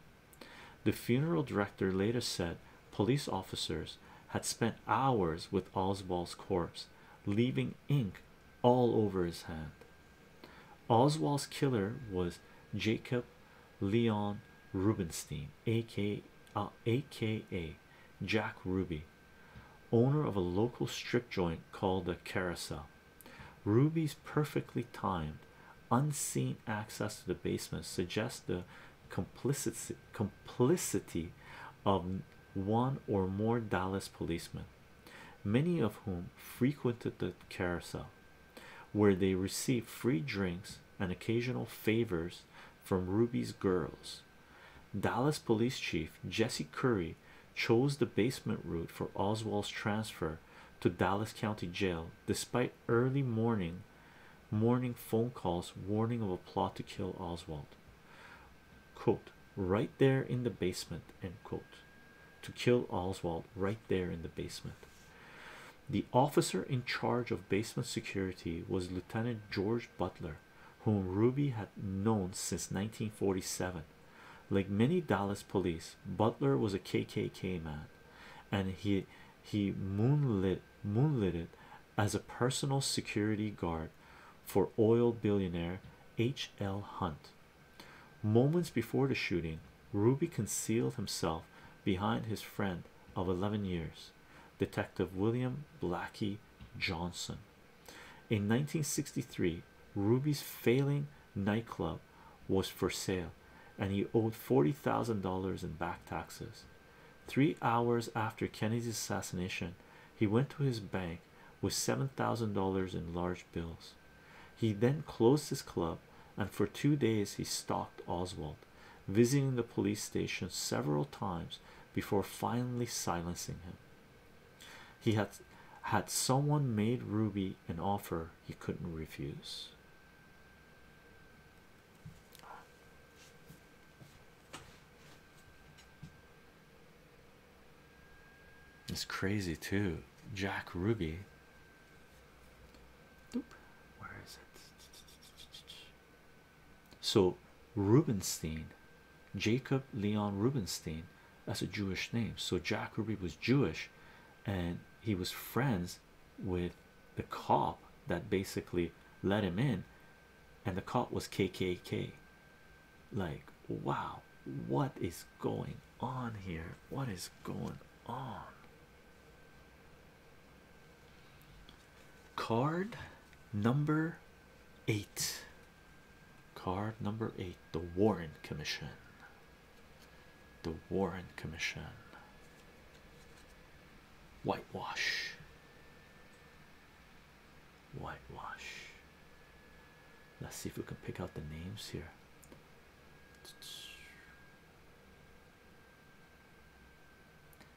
The funeral director later said police officers had spent hours with Oswald's corpse, leaving ink all over his hand. Oswald's killer was Jacob Leon Rubinstein, aka, uh, Jack Ruby, owner of a local strip joint called the Carousel. Ruby's perfectly timed, unseen access to the basement suggests the complicity of one or more Dallas policemen, many of whom frequented the Carousel, where they received free drinks and occasional favors from Ruby's girls. Dallas Police Chief Jesse Curry chose the basement route for Oswald's transfer to Dallas County Jail despite early morning morning phone calls warning of a plot to kill Oswald. Quote, right there in the basement, end quote. To kill Oswald right there in the basement. The officer in charge of basement security was Lieutenant George Butler, whom Ruby had known since 1947. Like many Dallas police, Butler was a KKK man, and he he moonlit moonlited as a personal security guard for oil billionaire H. L. Hunt. Moments before the shooting, Ruby concealed himself behind his friend of 11 years Detective William Blackie Johnson. In 1963, Ruby's failing nightclub was for sale, and he owed $40,000 in back taxes. Three hours after Kennedy's assassination, he went to his bank with $7,000 in large bills. He then closed his club, and for two days he stalked Oswald visiting the police station several times before finally silencing him. He had had someone made Ruby an offer he couldn't refuse. It's crazy too. Jack Ruby. So Rubinstein, Jacob Leon Rubinstein, as a Jewish name. So Jack Ruby was Jewish, and he was friends with the cop that basically let him in, and the cop was KKK. Like, wow, what is going on here? What is going on? Card number eight. Card number eight, the Warren Commission. The Warren Commission. Whitewash. Whitewash. Let's see if we can pick out the names here.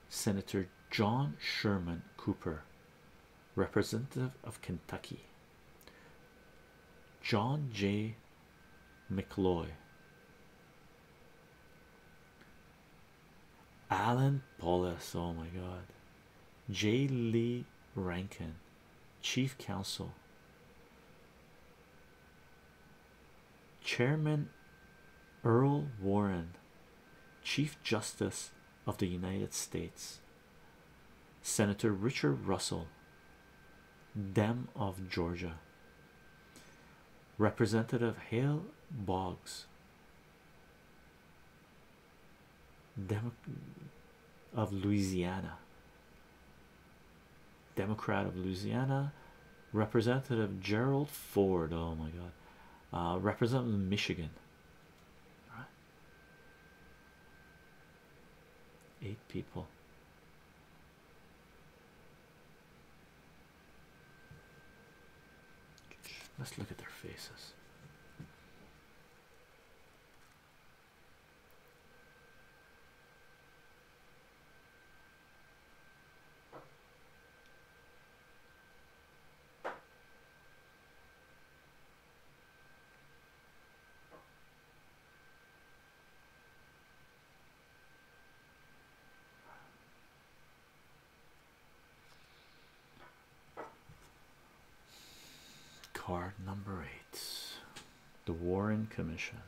Senator John Sherman Cooper, Representative of Kentucky, John J. McCloy, Alan Paulus, oh my god, J. Lee Rankin, Chief Counsel, Chairman Earl Warren, Chief Justice of the United States, Senator Richard Russell, Dem of Georgia, Representative Hale Boggs, Dem of Louisiana, Democrat of Louisiana, Representative Gerald Ford. Oh my God. Uh, Michigan. right. Eight people. Let's look at their faces. Card number eight, the Warren Commission.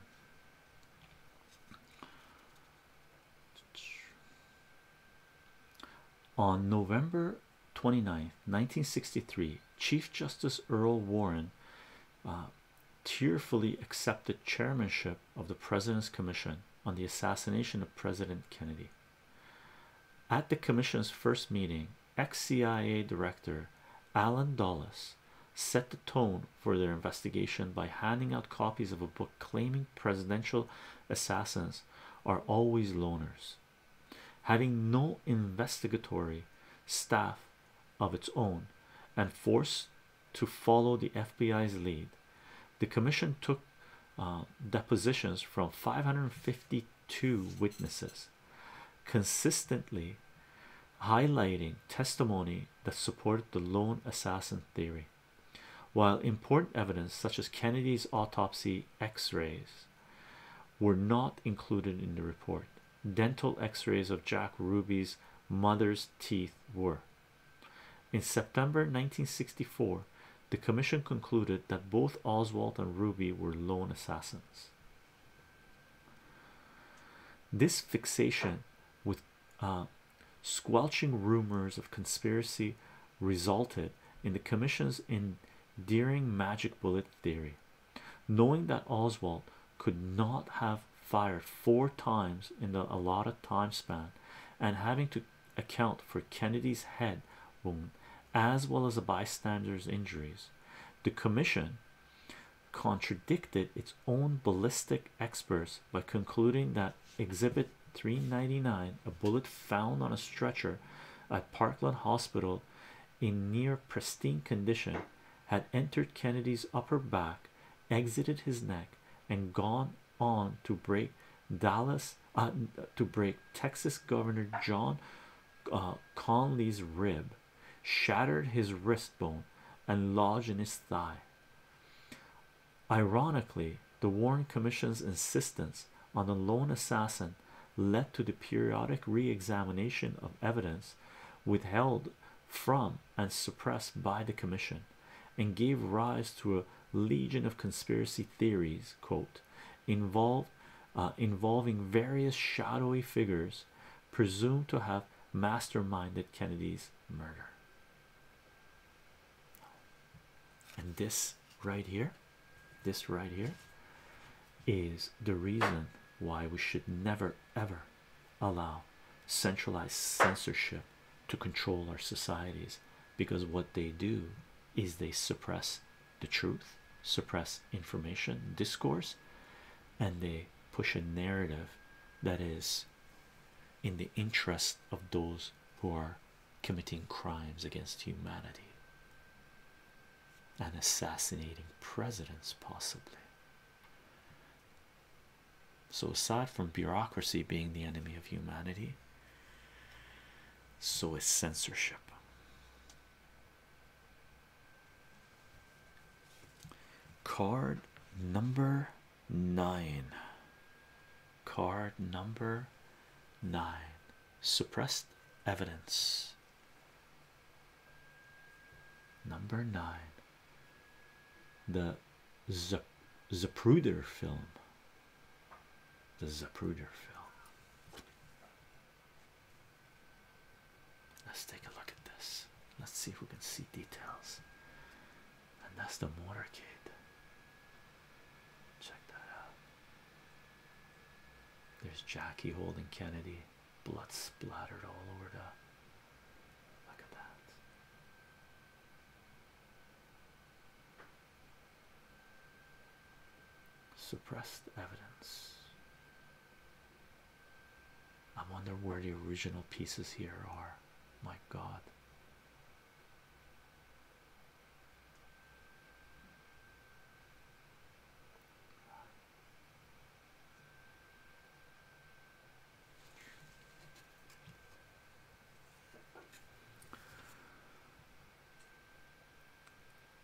On November 29th, 1963, Chief Justice Earl Warren uh, tearfully accepted chairmanship of the President's Commission on the Assassination of President Kennedy. At the Commission's first meeting, ex CIA Director Alan Dulles set the tone for their investigation by handing out copies of a book claiming presidential assassins are always loners. Having no investigatory staff of its own and forced to follow the FBI's lead, the commission took uh, depositions from 552 witnesses, consistently highlighting testimony that supported the lone assassin theory. While important evidence such as Kennedy's autopsy x-rays were not included in the report, dental x-rays of Jack Ruby's mother's teeth were. In September 1964, the commission concluded that both Oswald and Ruby were lone assassins. This fixation with uh, Squelching rumors of conspiracy resulted in the commission's endearing magic bullet theory. Knowing that Oswald could not have fired four times in the allotted time span and having to account for Kennedy's head wound as well as a bystander's injuries, the commission contradicted its own ballistic experts by concluding that Exhibit 399 a bullet found on a stretcher at Parkland Hospital in near pristine condition had entered Kennedy's upper back exited his neck and gone on to break Dallas uh, to break Texas Governor John uh, Conley's rib shattered his wrist bone and lodged in his thigh Ironically, the Warren Commission's insistence on the lone assassin led to the periodic re examination of evidence withheld from and suppressed by the Commission and gave rise to a legion of conspiracy theories, uh, involving various shadowy figures presumed to have masterminded Kennedy's murder and this right here this right here is the reason why we should never ever allow centralized censorship to control our societies because what they do is they suppress the truth suppress information discourse and they push a narrative that is in the interest of those those who are committing crimes against humanity and assassinating presidents, possibly. So, aside from bureaucracy being the enemy of humanity, so is censorship. Card number nine. Card number nine suppressed evidence. Number nine, the Zapruder film. The Zapruder film. Let's take a look at this. Let's see if we can see details and that's the motorcade. Check that out. There's Jackie holding Kennedy, blood splattered all over the look at that. Suppressed evidence. I wonder where the original pieces here are. My God,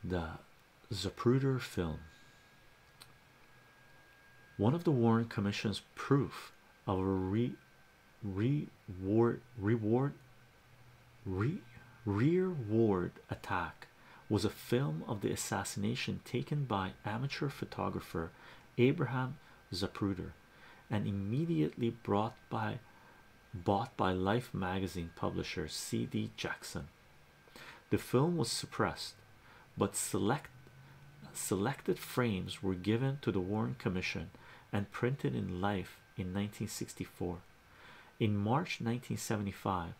the Zapruder film. One of the Warren Commission's proof of re reward reward re rear ward attack was a film of the assassination taken by amateur photographer Abraham Zapruder and immediately bought by Life magazine publisher C.D. Jackson. The film was suppressed, but select selected frames were given to the Warren Commission and printed in Life in 1964. In March 1975,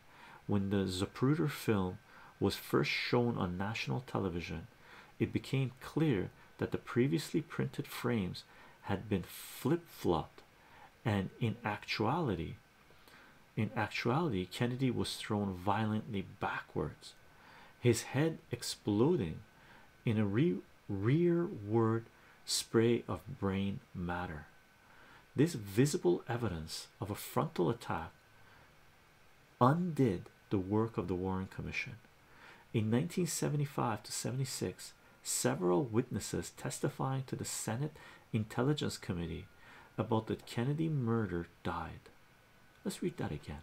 when the Zapruder film was first shown on national television, it became clear that the previously printed frames had been flip-flopped and in actuality in actuality Kennedy was thrown violently backwards his head exploding in a rearward spray of brain matter. This visible evidence of a frontal attack undid the work of the Warren Commission. In 1975 to 76, several witnesses testifying to the Senate Intelligence Committee about the Kennedy murder died. Let's read that again.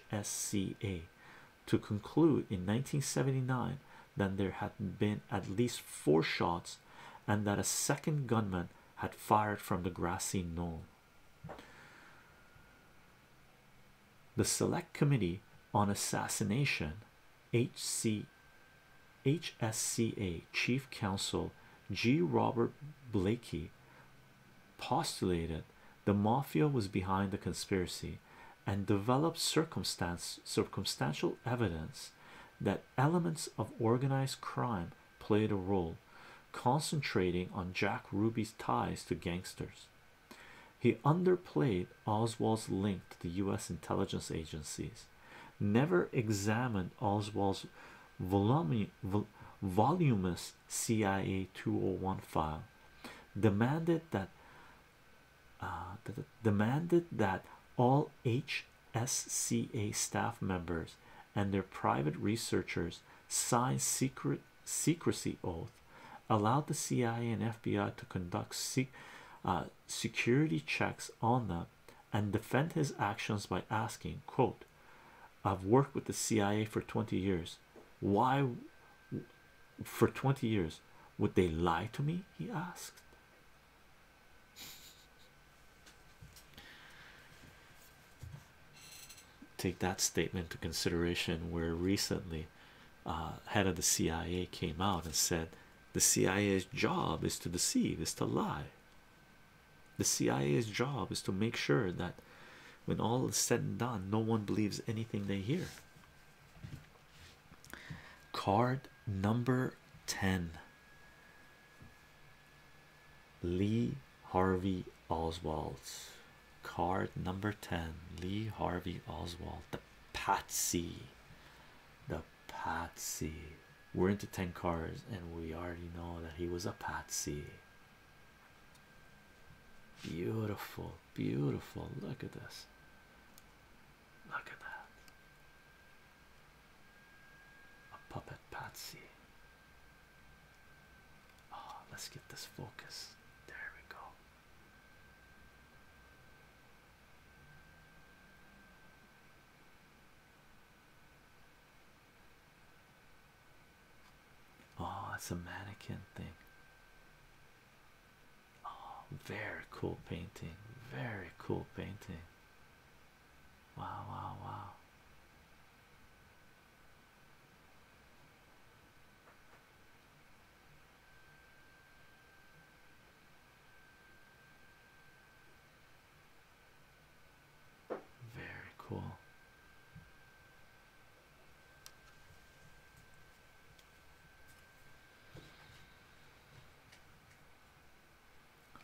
S C A, to conclude in 1979 that there had been at least four shots and that a second gunman had fired from the grassy knoll. The Select Committee on Assassination, H C, H S C A, Chief Counsel G. Robert Blakey postulated the mafia was behind the conspiracy and developed circumstantial evidence that elements of organized crime played a role concentrating on Jack Ruby's ties to gangsters. He underplayed Oswald's link to the US intelligence agencies, never examined Oswald's voluminous CIA 201 file demanded that uh, demanded that all HSCA staff members and their private researchers sign secret secrecy oath allowed the CIA and FBI to conduct se uh, security checks on them and defend his actions by asking quote I've worked with the CIA for 20 years why, for 20 years, would they lie to me? He asked. Take that statement into consideration. Where recently, uh, head of the CIA came out and said, The CIA's job is to deceive, is to lie. The CIA's job is to make sure that when all is said and done, no one believes anything they hear. Card number 10 Lee Harvey Oswald. Card number 10 Lee Harvey Oswald, the Patsy. The Patsy. We're into 10 cards, and we already know that he was a Patsy. Beautiful, beautiful. Look at this. Look at that. A puppet Patsy. Oh, let's get this focus. There we go. Oh, it's a mannequin thing. Oh, very cool painting. Very cool painting. Wow, wow, wow. Very cool.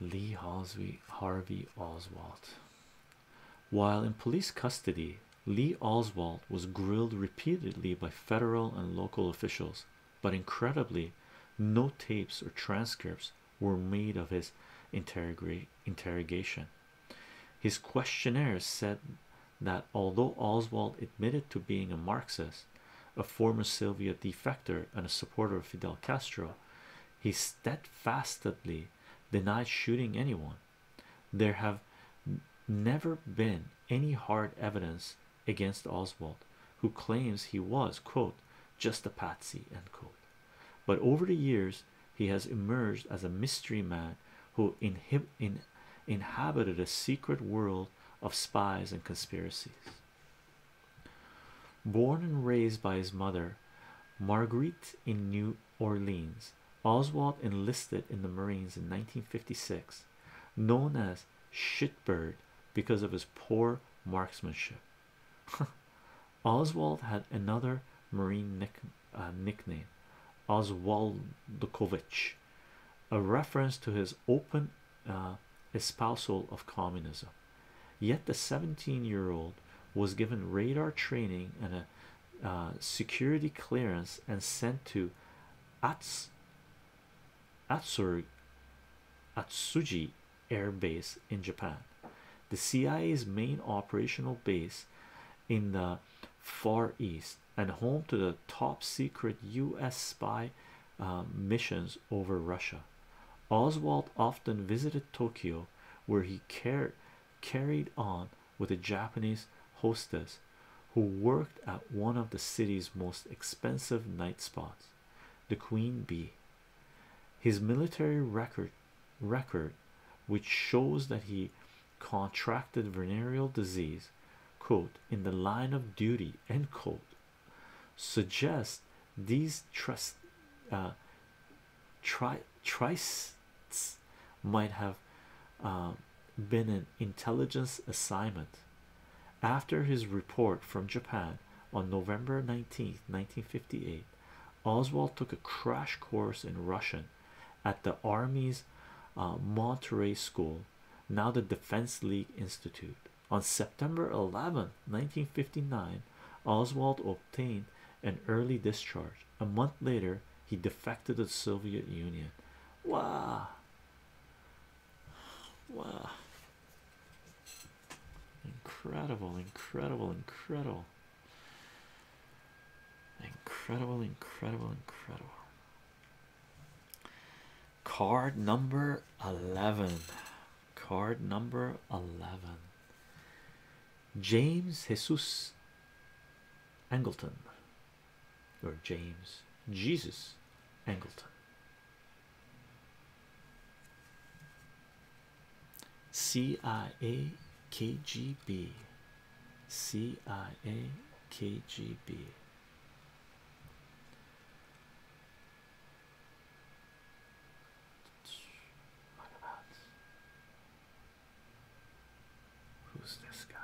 Lee Halsey Harvey Oswald. While in police custody, Lee Oswald was grilled repeatedly by federal and local officials, but incredibly, no tapes or transcripts were made of his interrogation. His questionnaires said that although Oswald admitted to being a Marxist, a former Soviet defector, and a supporter of Fidel Castro, he steadfastly denied shooting anyone. There have never been any hard evidence against Oswald, who claims he was, quote, just a patsy, quote. But over the years, he has emerged as a mystery man who inhabited a secret world of spies and conspiracies. Born and raised by his mother, Marguerite, in New Orleans, Oswald enlisted in the Marines in 1956, known as Shitbird because of his poor marksmanship. <laughs> Oswald had another Marine nickname. Nickname Oswald Oswaldokovich, a reference to his open uh, espousal of communism. Yet the 17-year-old was given radar training and a uh, security clearance and sent to Ats Atsur Atsuji Air Base in Japan, the CIA's main operational base in the Far East and home to the top secret U.S. spy um, missions over Russia. Oswald often visited Tokyo, where he car carried on with a Japanese hostess who worked at one of the city's most expensive night spots, the Queen Bee. His military record, record, which shows that he contracted venereal disease quote in the line of duty end quote suggest these trust uh, might have uh, been an intelligence assignment after his report from Japan on November nineteenth, 1958, Oswald took a crash course in Russian at the Army's uh, Monterey School, now the Defense League Institute. On September 11, 1959, Oswald obtained an early discharge. A month later, he defected to the Soviet Union. Wow! Wow! Incredible, incredible, incredible. Incredible, incredible, incredible. Card number 11. Card number 11. James Jesus Angleton, or James Jesus Angleton. CIA KGB CIA KGB Who's this guy?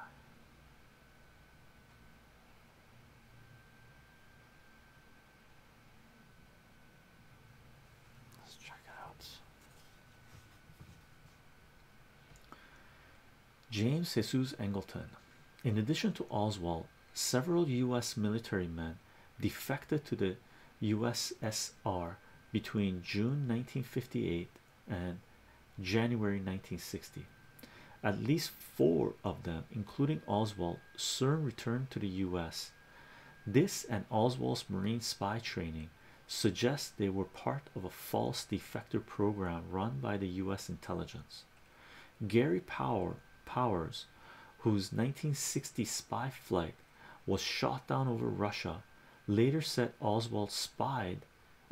Let's check it out. James Jesus Angleton. In addition to Oswald, several U.S. military men defected to the USSR between June 1958 and January 1960. At least four of them, including Oswald, soon returned to the U.S. This and Oswald's Marine spy training Suggest they were part of a false defector program run by the US intelligence. Gary Power Powers, whose 1960 spy flight was shot down over Russia, later said Oswald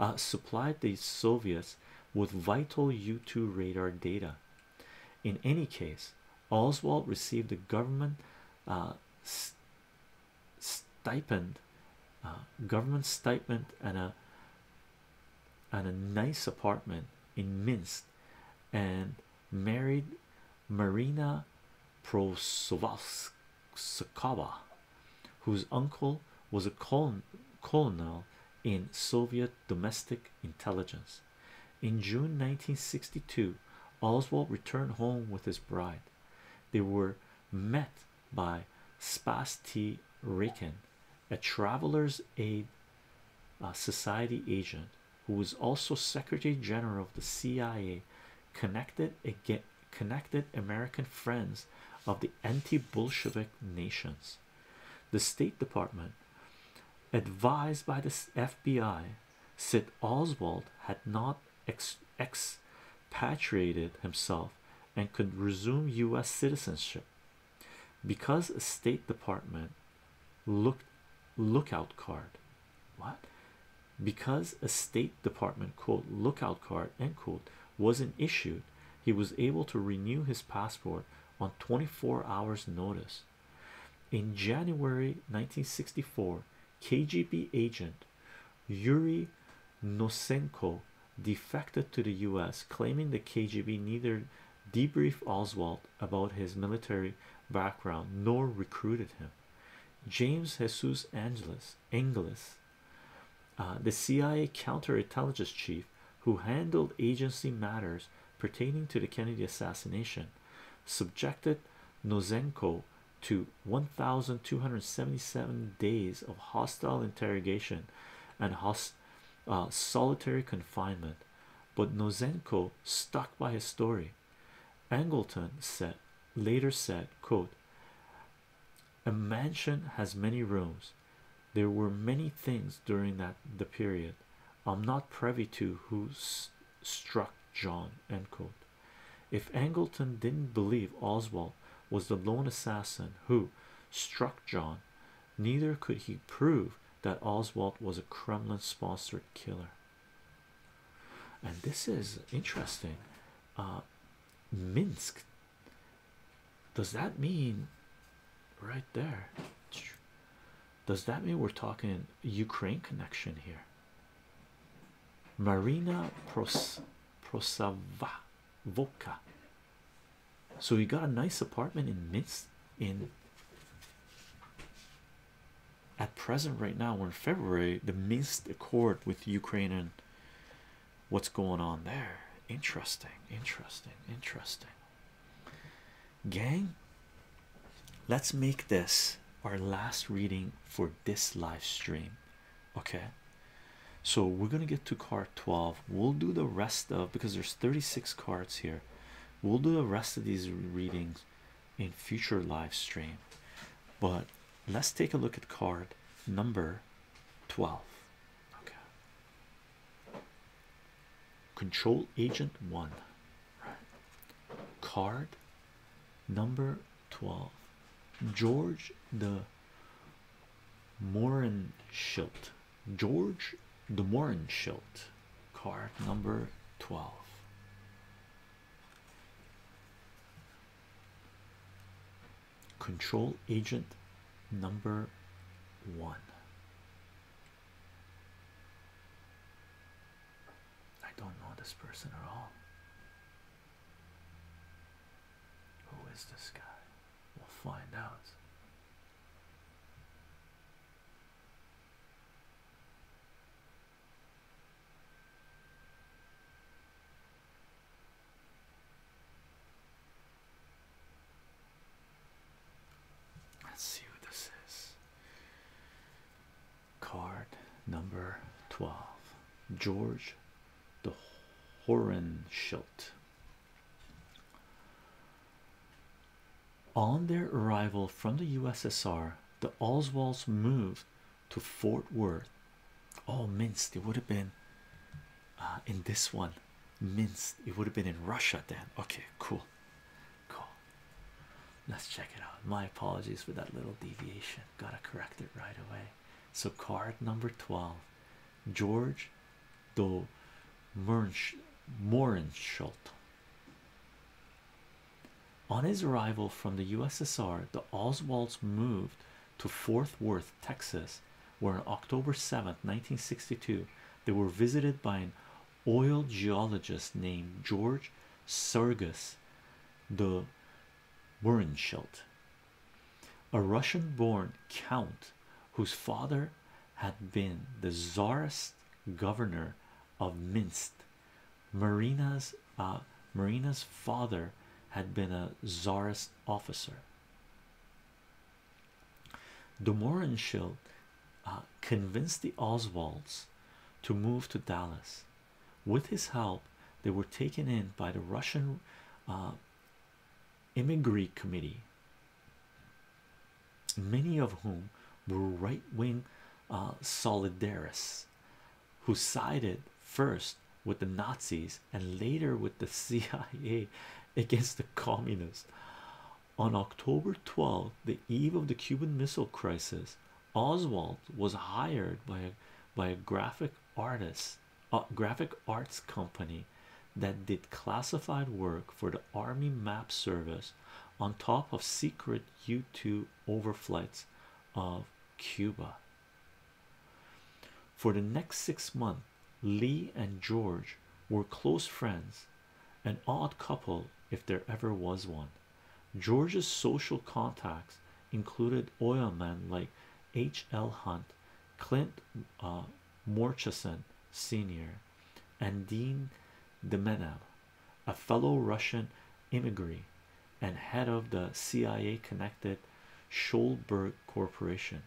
uh, supplied the Soviets with vital U2 radar data. In any case, Oswald received a government uh, stipend government stipend and a and a nice apartment in Minsk and married Marina Prosovskaya whose uncle was a colonel in Soviet domestic intelligence in June 1962 Oswald returned home with his bride they were met by Spasti Ricken, a traveler's aid uh, society agent who was also Secretary General of the CIA, connected connected American friends of the anti-Bolshevik nations. The State Department, advised by the FBI, said Oswald had not expatriated himself and could resume U.S. citizenship because a State Department lookout card. What? Because a State Department quote lookout card end quote wasn't issued, he was able to renew his passport on 24 hours' notice. In January 1964, KGB agent Yuri Nosenko defected to the US, claiming the KGB neither debriefed Oswald about his military background nor recruited him. James Jesus Angeles, uh, the CIA counterintelligence chief who handled agency matters pertaining to the Kennedy assassination, subjected Nosenko to 1277 days of hostile interrogation and host uh, solitary confinement but nozenko stuck by his story angleton said later said quote a mansion has many rooms there were many things during that the period i'm not privy to who struck john end quote if angleton didn't believe oswald was the lone assassin who struck John. Neither could he prove that Oswald was a Kremlin sponsored killer. And this is interesting. Uh, Minsk. Does that mean right there? Does that mean we're talking Ukraine connection here? Marina Pros Prosava Vodka. So we got a nice apartment in Minsk. In at present, right now, we're in February. The Minsk Accord with Ukraine and what's going on there? Interesting, interesting, interesting. Gang, let's make this our last reading for this live stream. Okay, so we're gonna get to card 12 we'll do the rest of because there's 36 cards here we'll do the rest of these readings in future live stream but let's take a look at card number 12 okay control agent 1 card number 12 George the Morenschild, George de Morenschild, card number 12. Control agent number one. I don't know this person at all. Who is this guy? We'll find out. Let's see what this is. Card number 12 George the Horenschild. On their arrival from the USSR, the Oswalds moved to Fort Worth. Oh, Minsk, it would have been uh, in this one. Minsk, it would have been in Russia then. Okay, cool. Cool. Let's check it out. My apologies for that little deviation. Gotta correct it right away. So card number 12, George de, Do Morenschult. On his arrival from the USSR, the Oswalds moved to Fort Worth, Texas, where on October 7, 1962, they were visited by an oil geologist named George Sergus de Morenschult a Russian born count whose father had been the czarist governor of Minsk. Marina's uh, Marina's father had been a czarist officer. Domorenschild uh, convinced the Oswalds to move to Dallas. With his help, they were taken in by the Russian uh, immigrant committee, many of whom were right-wing uh, solidarists who sided first with the Nazis and later with the <laughs> CIA against the communists. On October 12, the eve of the Cuban Missile Crisis, Oswald was hired by a, by a graphic artist arts graphic arts company that did classified work for the Army Map Service on top of secret U2 overflights of Cuba. For the next six months, Lee and George were close friends, an odd couple if there ever was one. George's social contacts included oilmen like H. L. Hunt, Clint uh, Murchison Sr. and Dean Demenov, a fellow Russian immigrant and head of the CIA connected Scholberg Corporation.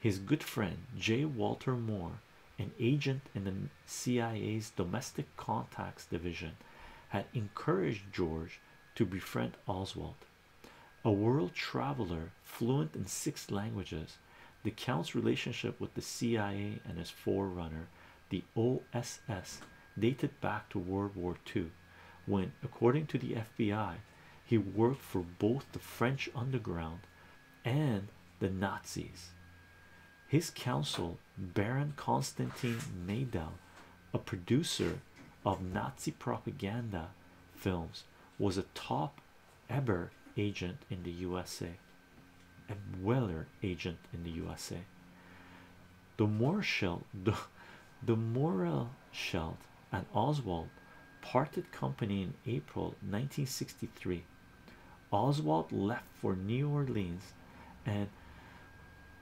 His good friend J. Walter Moore, an agent in the CIA's Domestic Contacts Division, had encouraged George to befriend Oswald. A world traveler fluent in six languages, the Count's relationship with the CIA and its forerunner, the OSS, dated back to World War II, when, according to the FBI, he worked for both the French underground and the Nazis. His counsel, Baron Konstantin Maydel, a producer of Nazi propaganda films, was a top Eber agent in the USA, and Weller agent in the USA. The Morshell, the the and Oswald parted company in April 1963. Oswald left for New Orleans and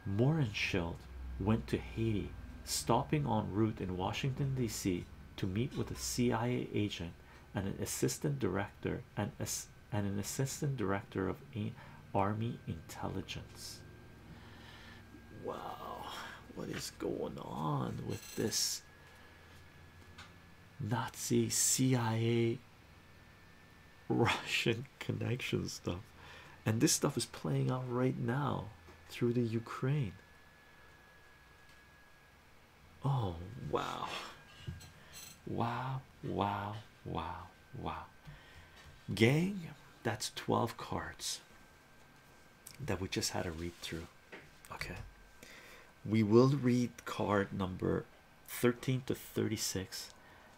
Morenschild went to Haiti, stopping en route in Washington, D.C to meet with a CIA agent and an assistant director and as and an assistant director of army intelligence. Wow, what is going on with this Nazi CIA Russian connection stuff? And this stuff is playing out right now through the Ukraine. Oh wow. Wow, wow, wow, wow. Gang, that's 12 cards that we just had to read through. Okay. We will read card number 13 to 36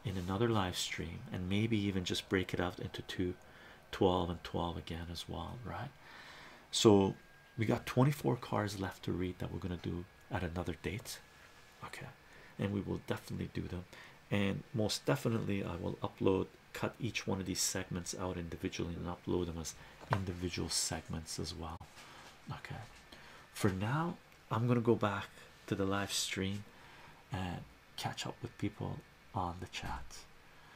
in another live stream and maybe even just break it up into two 12 and 12 again as well, right? so we got 24 cars left to read that we're going to do at another date okay and we will definitely do them and most definitely i will upload cut each one of these segments out individually and upload them as individual segments as well okay for now i'm going to go back to the live stream and catch up with people on the chat